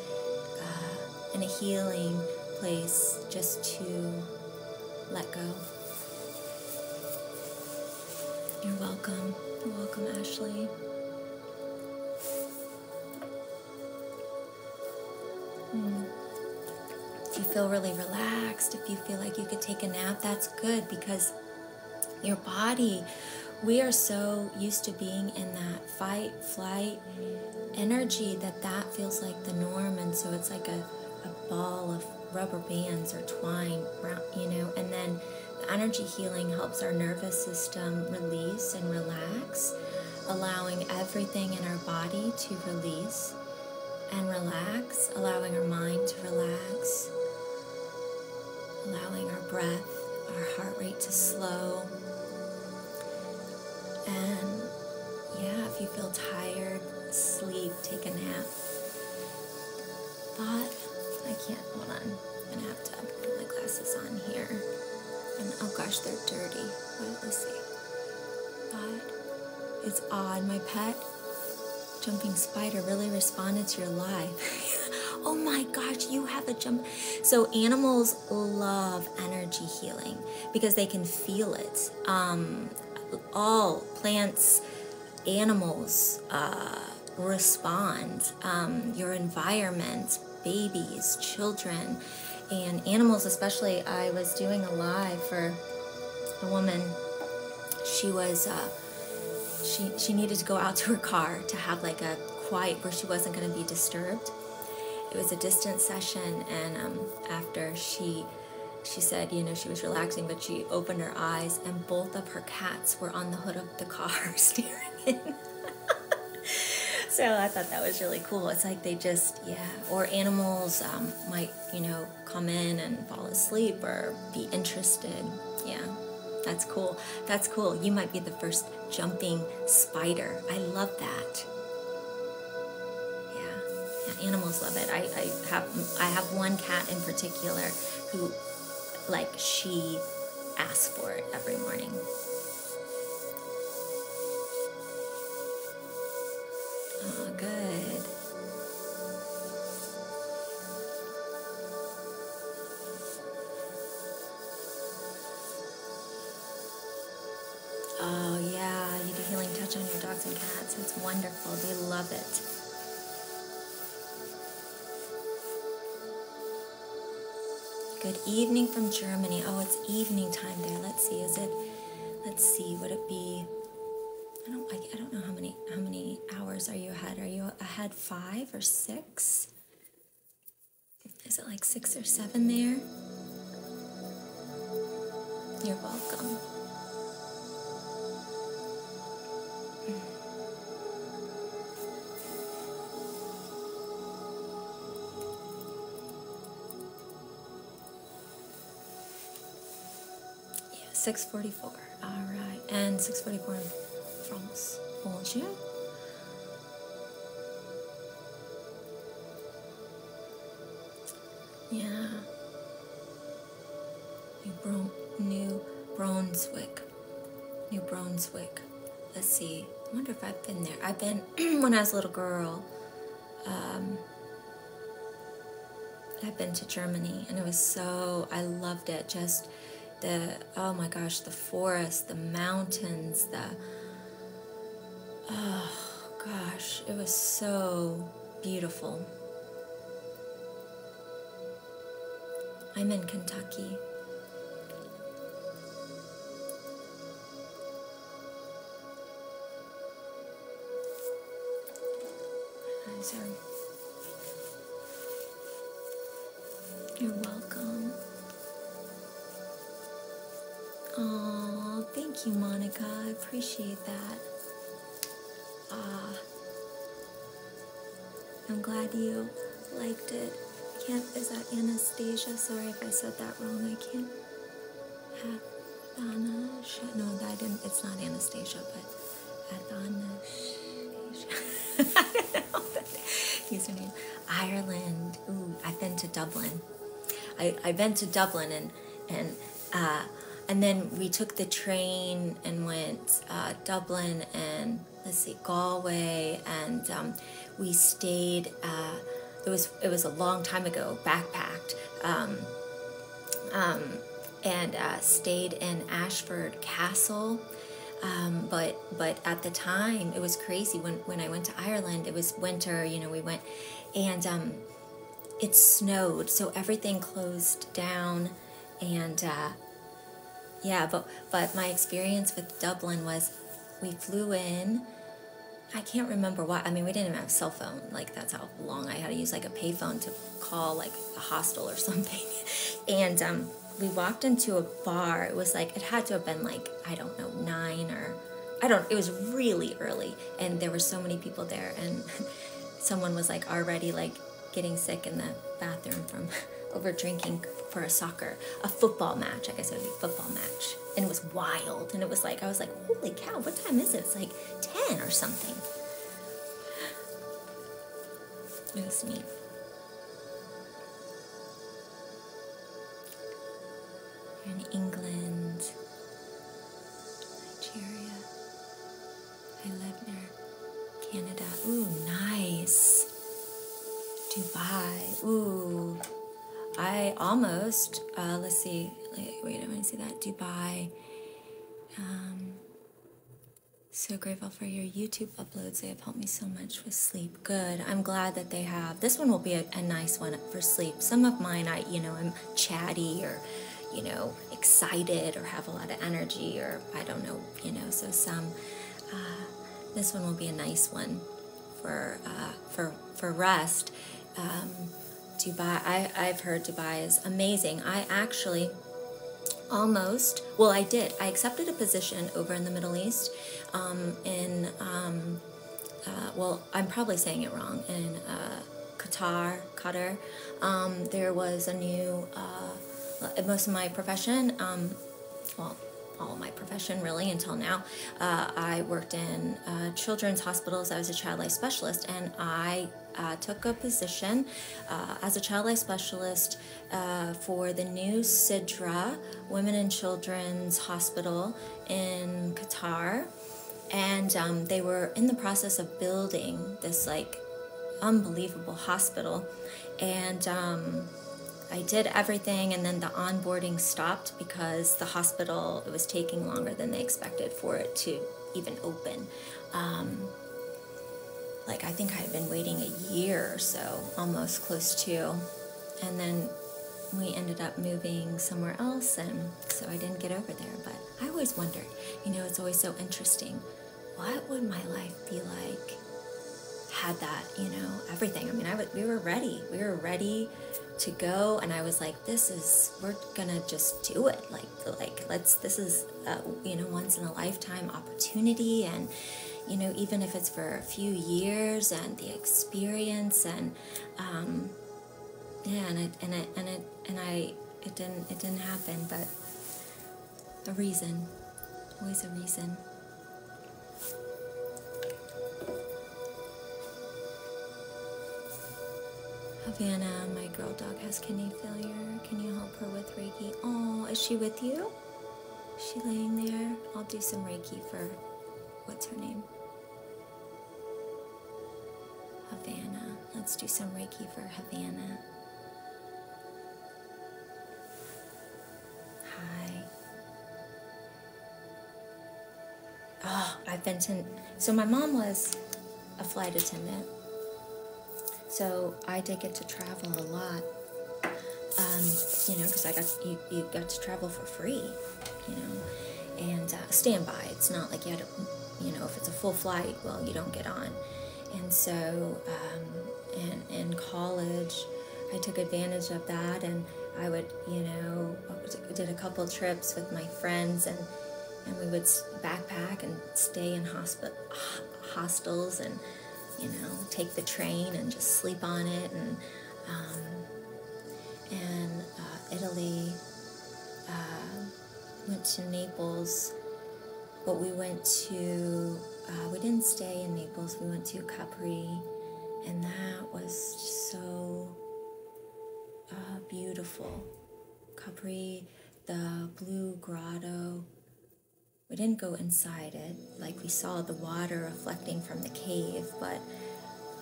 uh, and a healing place just to let go. You're welcome. You're welcome, Ashley. Hmm. If you feel really relaxed, if you feel like you could take a nap, that's good because your body, we are so used to being in that fight, flight energy that that feels like the norm. And so it's like a ball of rubber bands or twine, you know, and then the energy healing helps our nervous system release and relax, allowing everything in our body to release and relax, allowing our mind to relax, allowing our breath, our heart rate to slow. And yeah, if you feel tired, sleep, take a nap thought I can't hold on. i gonna have to put my glasses on here. And oh gosh, they're dirty. What let's see. Thought it's odd. My pet jumping spider really responded to your lie. oh my gosh, you have a jump. So animals love energy healing because they can feel it. Um, all plants, animals uh, respond, um, your environment, babies, children, and animals, especially. I was doing a live for a woman. She was, uh, she, she needed to go out to her car to have like a quiet where she wasn't going to be disturbed. It was a distance session, and um, after she she said, you know, she was relaxing, but she opened her eyes and both of her cats were on the hood of the car staring in. so I thought that was really cool. It's like they just, yeah, or animals um, might, you know, come in and fall asleep or be interested. Yeah, that's cool. That's cool. You might be the first jumping spider. I love that. Yeah, animals love it. I have I have one cat in particular who like she asks for it every morning. Oh, good. Oh, yeah, you do healing touch on your dogs and cats. It's wonderful. They love it. Good evening from Germany. Oh, it's evening time there. Let's see. Is it? Let's see. Would it be? I don't. I, I don't know how many. How many hours are you ahead? Are you ahead five or six? Is it like six or seven there? You're welcome. Hmm. 6.44. All right. And 6.44 in France. Bonjour. Yeah. New Brunswick. New Brunswick. Let's see. I wonder if I've been there. I've been when I was a little girl. Um, I've been to Germany, and it was so I loved it. Just the oh my gosh, the forest, the mountains, the oh gosh, it was so beautiful. I'm in Kentucky. So you're welcome. Oh, thank you, Monica. I appreciate that. Ah, I'm glad you liked it. I can't, is that Anastasia? Sorry if I said that wrong. I can't have Anastasia. No, I didn't. It's not Anastasia, but Anastasia. I don't know that name. Ireland. Ooh, I've been to Dublin. I, I've been to Dublin and and uh, and then we took the train and went uh, Dublin and let's see, Galway, and um, we stayed. Uh, it was it was a long time ago, backpacked, um, um, and uh, stayed in Ashford Castle. but but at the time, it was crazy. When when I went to Ireland, it was winter. You know, we went, and it snowed, so everything closed down and uh, yeah, but but my experience with Dublin was we flew in. I can't remember why. I mean, we didn't even have cell phone. Like that's how long I had to use like a payphone to call like a hostel or something. and um, we walked into a bar. It was like it had to have been like I don't know nine or I don't. It was really early, and there were so many people there, and someone was like already like getting sick in the bathroom from over drinking for a soccer, a football match. I guess it would be a football match. And it was wild. And it was like, I was like, holy cow, what time is it? It's like 10 or something. It was in England, Nigeria, I live near Canada. Ooh, nice. Dubai. Ooh. I almost, uh, let's see. Wait, I want to see that. Dubai. Um, so grateful for your YouTube uploads. They have helped me so much with sleep. Good. I'm glad that they have. This one will be a nice one for sleep. Some of mine, I, you know, I'm chatty or, you know, excited or have a lot of energy or I don't know, you know, so some uh, this one will be a nice one for uh, for for rest. Um, Dubai, I, have heard Dubai is amazing. I actually almost, well, I did. I accepted a position over in the Middle East um, in, um, uh, well, I'm probably saying it wrong, in Qatar, Qatar. there was a new, most of my profession, well, all my profession really until now. Uh, I worked in uh, children's hospitals. I was a child life specialist, and I uh, took a position as a child life specialist for the new Sidra Women and Children's Hospital in Qatar. And um, they were in the process of building this like unbelievable hospital. And um, I did everything, and then the onboarding stopped because the hospital, it was taking longer than they expected for it to even open. Um, like, I think I had been waiting a year or so, almost close to. And then we ended up moving somewhere else, and so I didn't get over there. But I always wondered, you know, it's always so interesting what would my life be like had that, you know, everything. I mean, I was we were ready. We were ready to go, and I was like, this is, we're gonna just do it. Like, like let's. This is, you know, once in a lifetime opportunity, and you know, even if it's for a few years, and the experience, and um, yeah, and it, and it, and it, and I, it didn't, it didn't happen, but the reason. Always a reason. Havana, my girl dog has kidney failure. Can you help her with Reiki? Oh, is she with you? Is she laying there? I'll do some Reiki for what's her name? Havana. Let's do some Reiki for Havana. Hi. Oh, I've been to. So my mom was a flight attendant. So I did get to travel a lot. Um, you know, because I got you, you got to travel for free. You know, and uh, standby. It's not like you had to. You know, if it's a full flight, well, you don't get on. And so. Um, in college, I took advantage of that, and I would, you know, did a couple trips with my friends, and and we would backpack and stay in hostels, and you know, take the train and just sleep on it, and um, and uh, Italy. Uh, went to Naples, but we went to uh, we didn't stay in Naples. We went to recovery, and that was so uh, beautiful. Capri, the blue grotto. We didn't go inside it, like we saw the water reflecting from the cave, but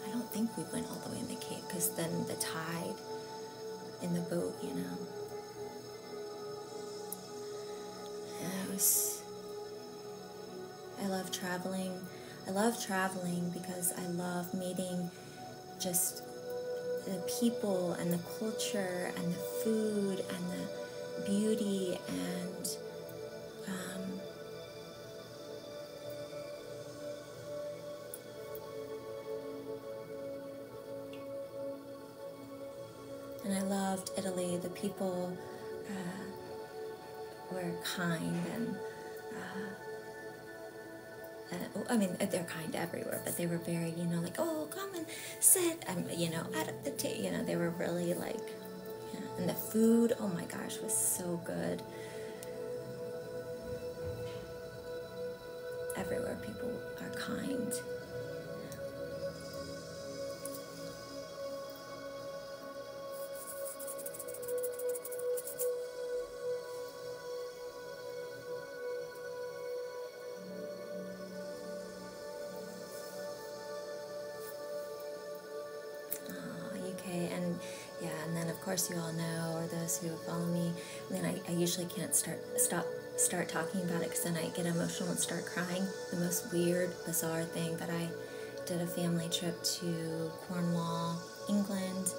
I don't think we went all the way in the cave because then the tide in the boat, you know. it was I love traveling. I love traveling because I love meeting just the people and the culture and the food and the beauty and um, and I loved Italy. The people uh, were kind and uh, uh, I mean, they're kind everywhere, but they were very, you know, like, oh, come and sit, um, you know, at the table, you know, they were really like, and the food, oh my gosh, was so good. Everywhere people are kind. Oh, and yeah, and then of course you all know, or those who follow me, then I, usually can't start stop start talking about it because then I get emotional and start crying. The most weird, bizarre thing, that I did a family trip to Cornwall, England.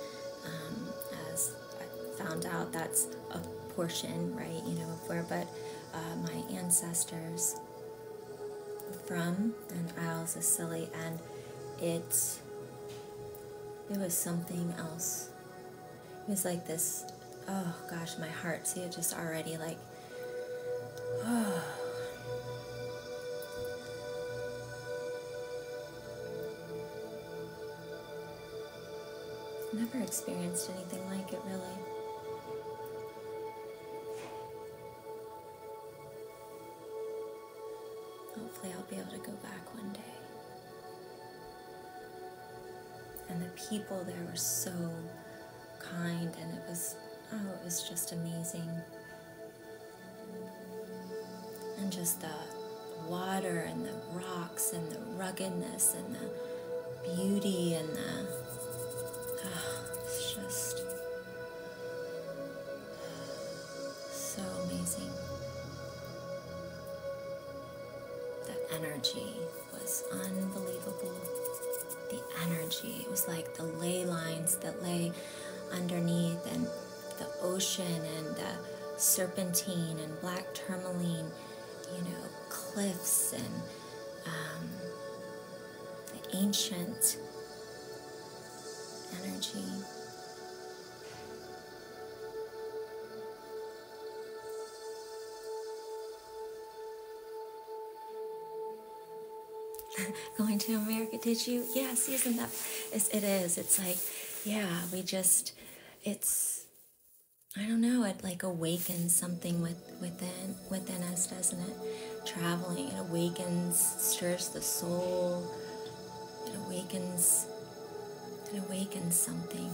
Um, as I found out, that's a portion, right? You know, where, but uh, my ancestors from and Isles of Scilly, and it's it was something else. It was like this. Oh gosh, my heart. See, it just already like I've Never experienced anything like it, really. Hopefully, I'll be able to go back one day. And the people there were so kind, and it was, oh, it was just amazing. And just the water and the rocks and the ruggedness and the beauty and the, ah, it's just so amazing. The energy was unbelievable the energy. It was like the ley lines that lay underneath, and the ocean, and the serpentine, and black tourmaline, you know, cliffs, and um, the ancient energy. going to America, did you? Yes, isn't that? It's, it is. It's like, yeah, we just, it's, I don't know. It like awakens something with, within within us, doesn't it? Traveling, it awakens, stirs the soul. It awakens, it awakens something.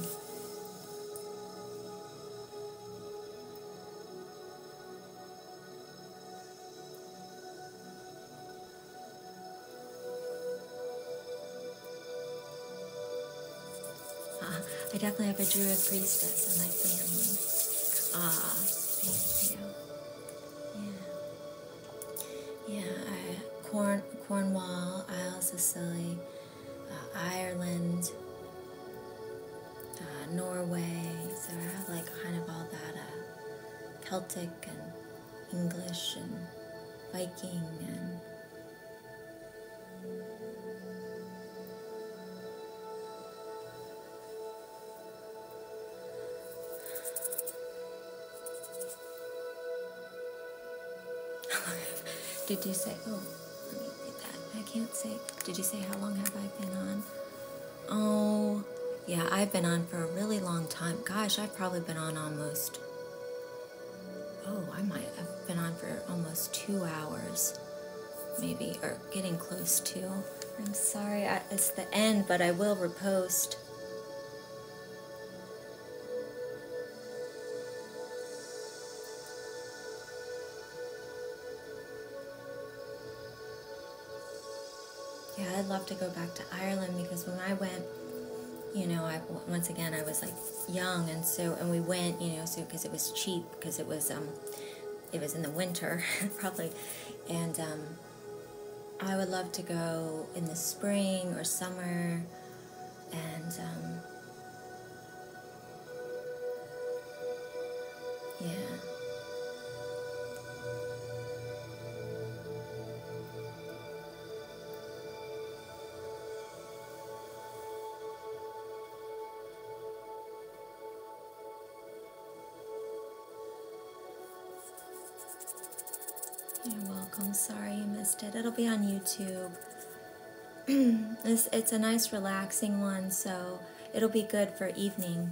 Uh, I definitely have a Druid priestess in my family. Ah, thank you. Yeah. Yeah, Cornwall, Isles of Scilly, uh, Ireland, uh, Norway. So I have like kind of all that uh, Celtic and English and Viking and Did you say, oh, let me read that. I can't say, did you say how long have I been on? Oh, yeah, I've been on for a really long time. Gosh, I've probably been on almost. Oh, I might have been on for almost two hours, maybe, or getting close to. I'm sorry, it's the end, but I will repost. Yeah, I'd love to go back to Ireland because when I went, you know, I once again I was like young, and so and we went, you know, so because it was cheap, because it was um, it was in the winter probably, and um, I would love to go in the spring or summer, and um, yeah. You're welcome. Sorry you missed it. It'll be on YouTube. it's, it's a nice relaxing one, so it'll be good for evening.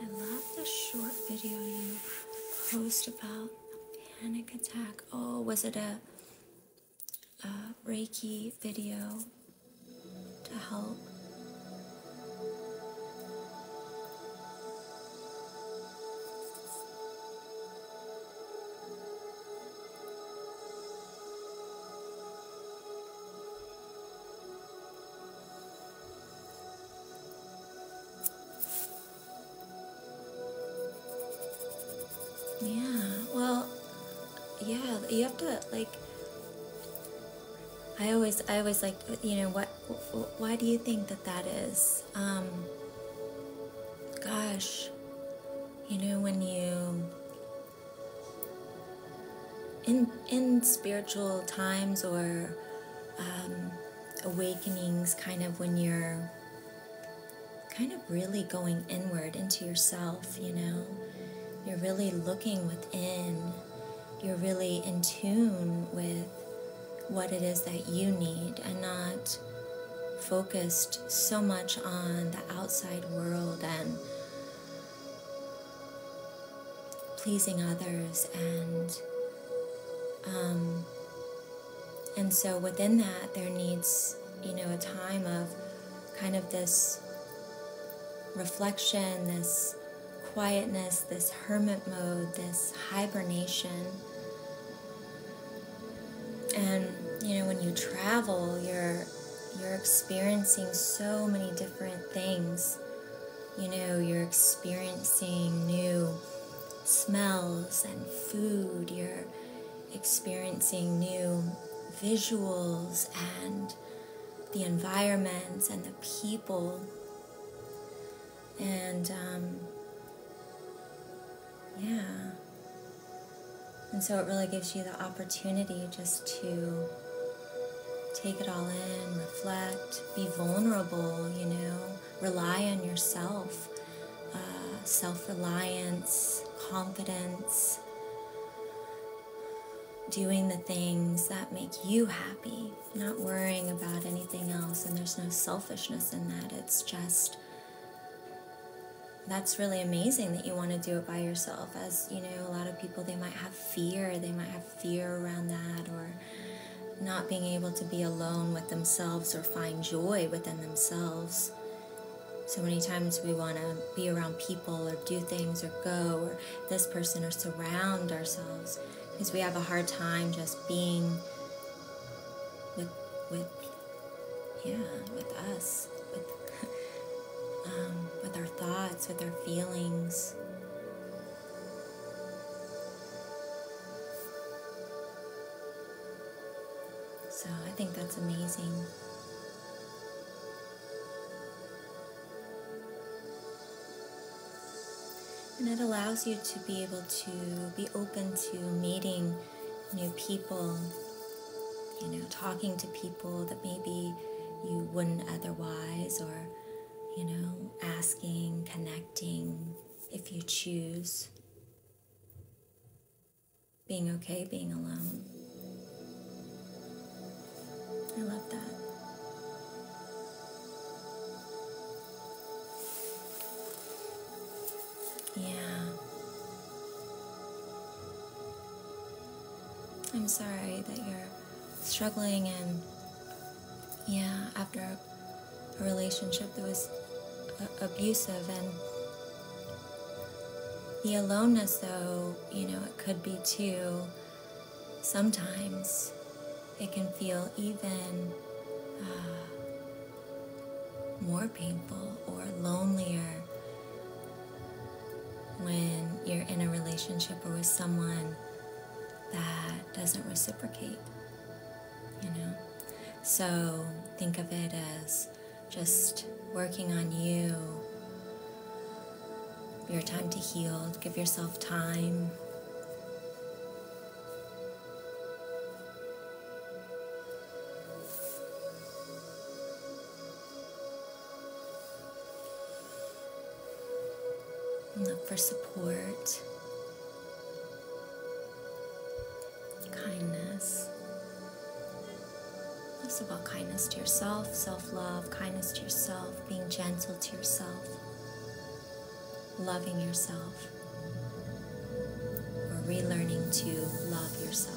I love the short video you post about a panic attack. Oh, was it a, a Reiki video to help? Yeah, well, yeah, you have to like. I always, I always like, you know, what, why do you think that that is? Um, gosh, you know, when you, in, in spiritual times or, um, awakenings kind of when you're kind of really going inward into yourself, you know. You're really looking within. You're really in tune with what it is that you need and not focused so much on the outside world and pleasing others and um, and so within that, there needs, you know, a time of kind of this reflection, this quietness, this hermit mode, this hibernation. And you know, when you travel, you're you're experiencing so many different things you know, you're experiencing new smells and food, you're experiencing new visuals and the environments and the people. And um, yeah. And so it really gives you the opportunity just to take it all in, reflect, be vulnerable, you know rely on yourself, uh, self reliance, confidence, doing the things that make you happy, not worrying about anything else. And there's no selfishness in that. It's just that's really amazing that you want to do it by yourself. As you know, a lot of people they might have fear, they might have fear around that or not being able to be alone with themselves or find joy within themselves. So many times we want to be around people or do things or go or this person or surround ourselves because we have a hard time just being with with yeah with us with um, with our thoughts with our feelings. So I think that's amazing. And it allows you to be able to be open to meeting new people, you know, talking to people that maybe you wouldn't otherwise, or, you know, asking, connecting, if you choose being okay being alone. I love that. Yeah. I'm sorry that you're struggling and yeah, after a relationship that was uh, abusive and the aloneness though you know it could be too sometimes it can feel even uh, more painful or lonelier when you're in a relationship or with someone that doesn't reciprocate you know? So think of it as just working on you, your time to heal, give yourself time. look for support Kindness. It's about kindness to yourself, self love, kindness to yourself, being gentle to yourself, loving yourself, or relearning to love yourself.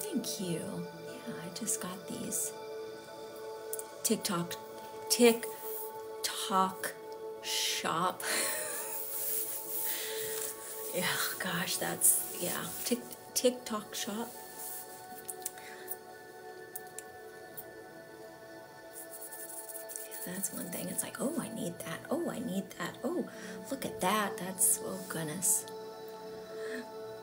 Thank you. Yeah, I just got these. TikTok, TikTok shop. yeah, gosh, that's, yeah, Tik, TikTok shop. that's one thing. It's like, oh, I need that. Oh, I need that. Oh, look at that. That's, oh, goodness.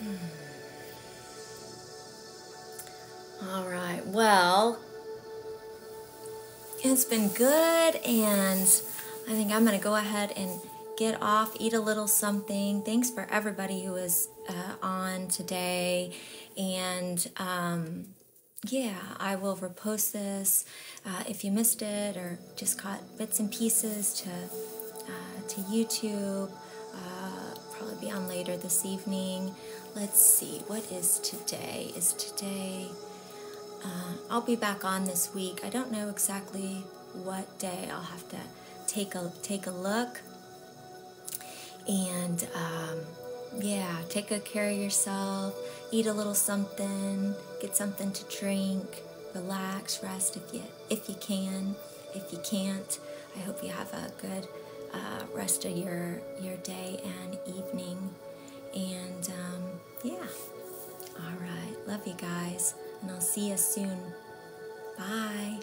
Hmm. All right, well, it's been good, and I think I'm going to go ahead and get off, eat a little something. Thanks for everybody who is uh, on today, and um, yeah, I will repost this uh, if you missed it or just caught bits and pieces to uh, to YouTube. Uh, probably be on later this evening. Let's see, what is today? Is today? I'll be back on this week. I don't know exactly what day. I'll have to take a take a look. And um, yeah, take good care of yourself, eat a little something, get something to drink, relax, rest if you if you can. If you can't, I hope you have a good uh, rest of your your day and evening. And um, yeah, all right, love you guys, and I'll see you soon. Bye.